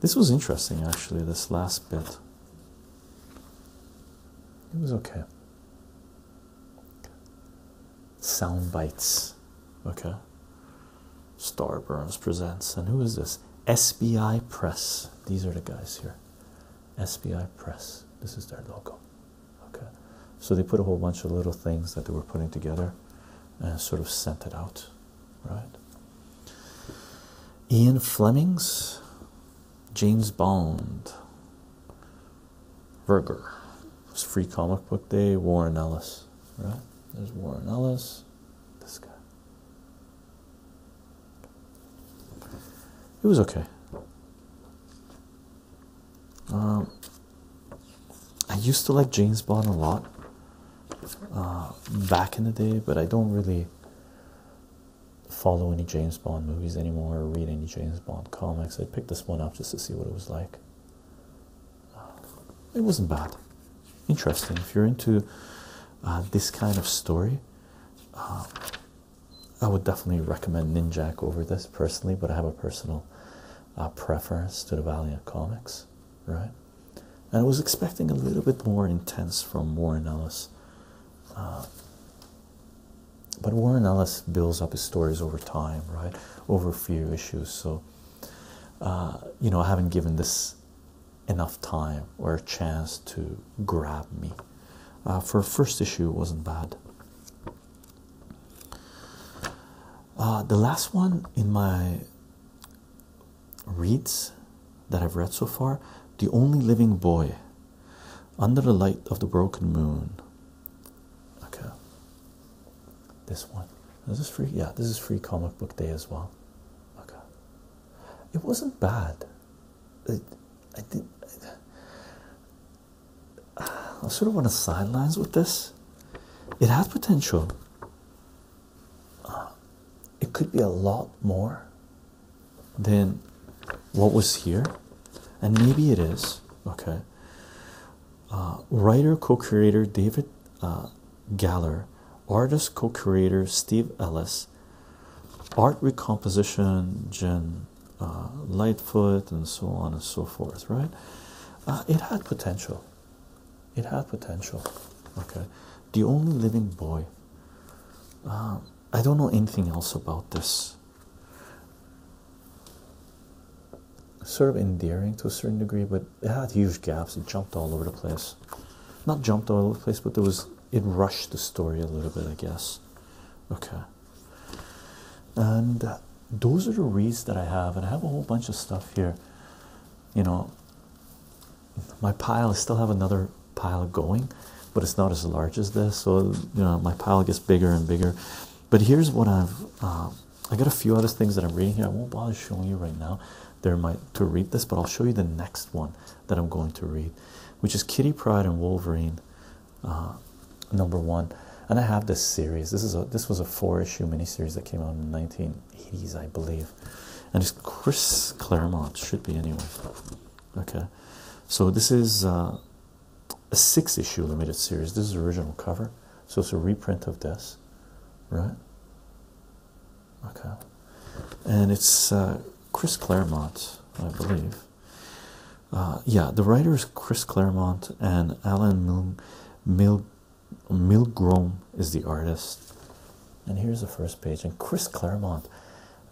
S1: This was interesting actually, this last bit. It was okay sound bites. Okay. Star Burns presents. And who is this? SBI Press. These are the guys here. SBI Press. This is their logo. Okay. So they put a whole bunch of little things that they were putting together and sort of sent it out. Right. Ian Fleming's James Bond. Verger. was free comic book day. Warren Ellis, right? There's Warren Ellis. This guy. It was okay. Um, I used to like James Bond a lot uh, back in the day, but I don't really follow any James Bond movies anymore or read any James. Bond comics. I picked this one up just to see what it was like. Uh, it wasn't bad. Interesting. If you're into uh, this kind of story, uh, I would definitely recommend Ninjak over this personally, but I have a personal preference to the Valiant comics, right? And I was expecting a little bit more intense from Warren Ellis. Uh, but Warren Ellis builds up his stories over time, right? Over a few issues. So, uh, you know, I haven't given this enough time or a chance to grab me. Uh, for first issue, wasn't bad. Uh, the last one in my reads that I've read so far, The Only Living Boy under the light of the broken moon. Okay. This one. Is free? Yeah, this is free comic book day as well. Okay. It wasn't bad. *sighs* I sort of on the sidelines with this. It has potential. Uh, it could be a lot more than what was here, and maybe it is. Okay. Uh, writer co-creator David uh, Galler, artist co-creator Steve Ellis, art recomposition Jen uh, Lightfoot, and so on and so forth. Right? it had potential. It had potential. Okay. The only living boy. Um, I don't know anything else about this sort of endearing to a certain degree, but it had huge gaps. It jumped all over the place. Not jumped all over the place, but there was it rushed the story a little bit, I guess. Okay. And uh, those are the reads that I have, and I have a whole bunch of stuff here. You know, my pile, I still have another pile going, but it's not as large as this. So, you know, my pile gets bigger and bigger. But here's what I've um, I got a few other things that I'm reading here. I won't bother showing you right now. There might to read this, but I'll show you the next one that I'm going to read, which is Kitty Pride and Wolverine, uh, number one. And I have this series. This is this was a four issue miniseries that came out in the 1980s, I believe. And it's Chris Claremont should be anyway. Okay, so this is uh, a six issue limited series. This is original cover, so it's a reprint of this, right? Okay, and it's uh, Chris Claremont, I believe. Uh, yeah, the writer is Chris Claremont, and Alan Mil Mil Milgrom is the artist. And here's the first page. And Chris Claremont,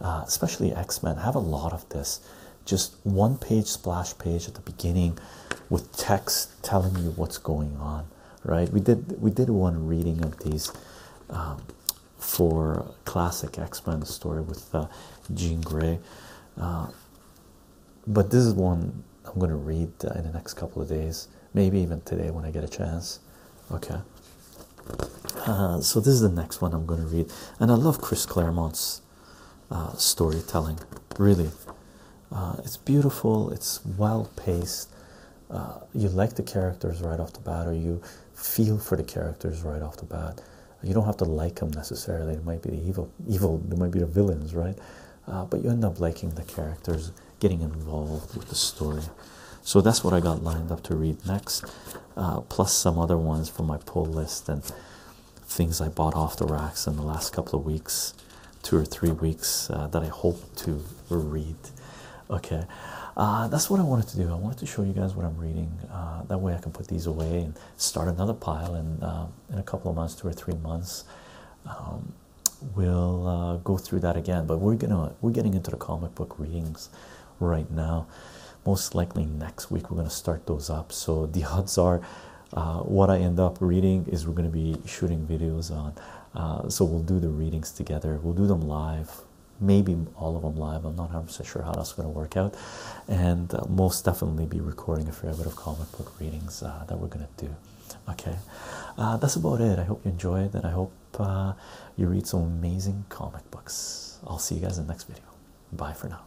S1: uh, especially X Men, have a lot of this just one page splash page at the beginning with text telling you what's going on right we did we did one reading of these um, for classic x-men story with uh, jean gray uh, but this is one i'm going to read in the next couple of days maybe even today when i get a chance okay uh, so this is the next one i'm going to read and i love chris claremont's uh, storytelling. Really, uh, it's beautiful. It's well paced. Uh, you like the characters right off the bat, or you feel for the characters right off the bat. You don't have to like them necessarily. They might be the evil, evil. It might be the villains, right? but you end up liking the characters, getting involved with the story. So that's what I got lined up to read next, plus some other ones from my pull list and things I bought off the racks in the last couple of weeks, two or three weeks uh, that I hope to read. Okay, uh, that's what I wanted to do. I wanted to show you guys what I'm reading. Uh, that way I can put these away and start another pile. And in a couple of months, two or three months, um, we'll go through that again. But we're gonna we're getting into the comic book readings right now. Most likely next week we're gonna start those up. So the *laughs* odds are uh, what I end up reading is we're going to be shooting videos on. Uh, so we'll do the readings together. We'll do them live, maybe all of them live. I'm not 100 sure how that's going to work out. And uh, most definitely be recording a fair bit of comic book readings that we're going to do. Okay, that's about it. I hope you enjoyed and I hope you read some amazing comic books. I'll see you guys in the next video. Bye for now.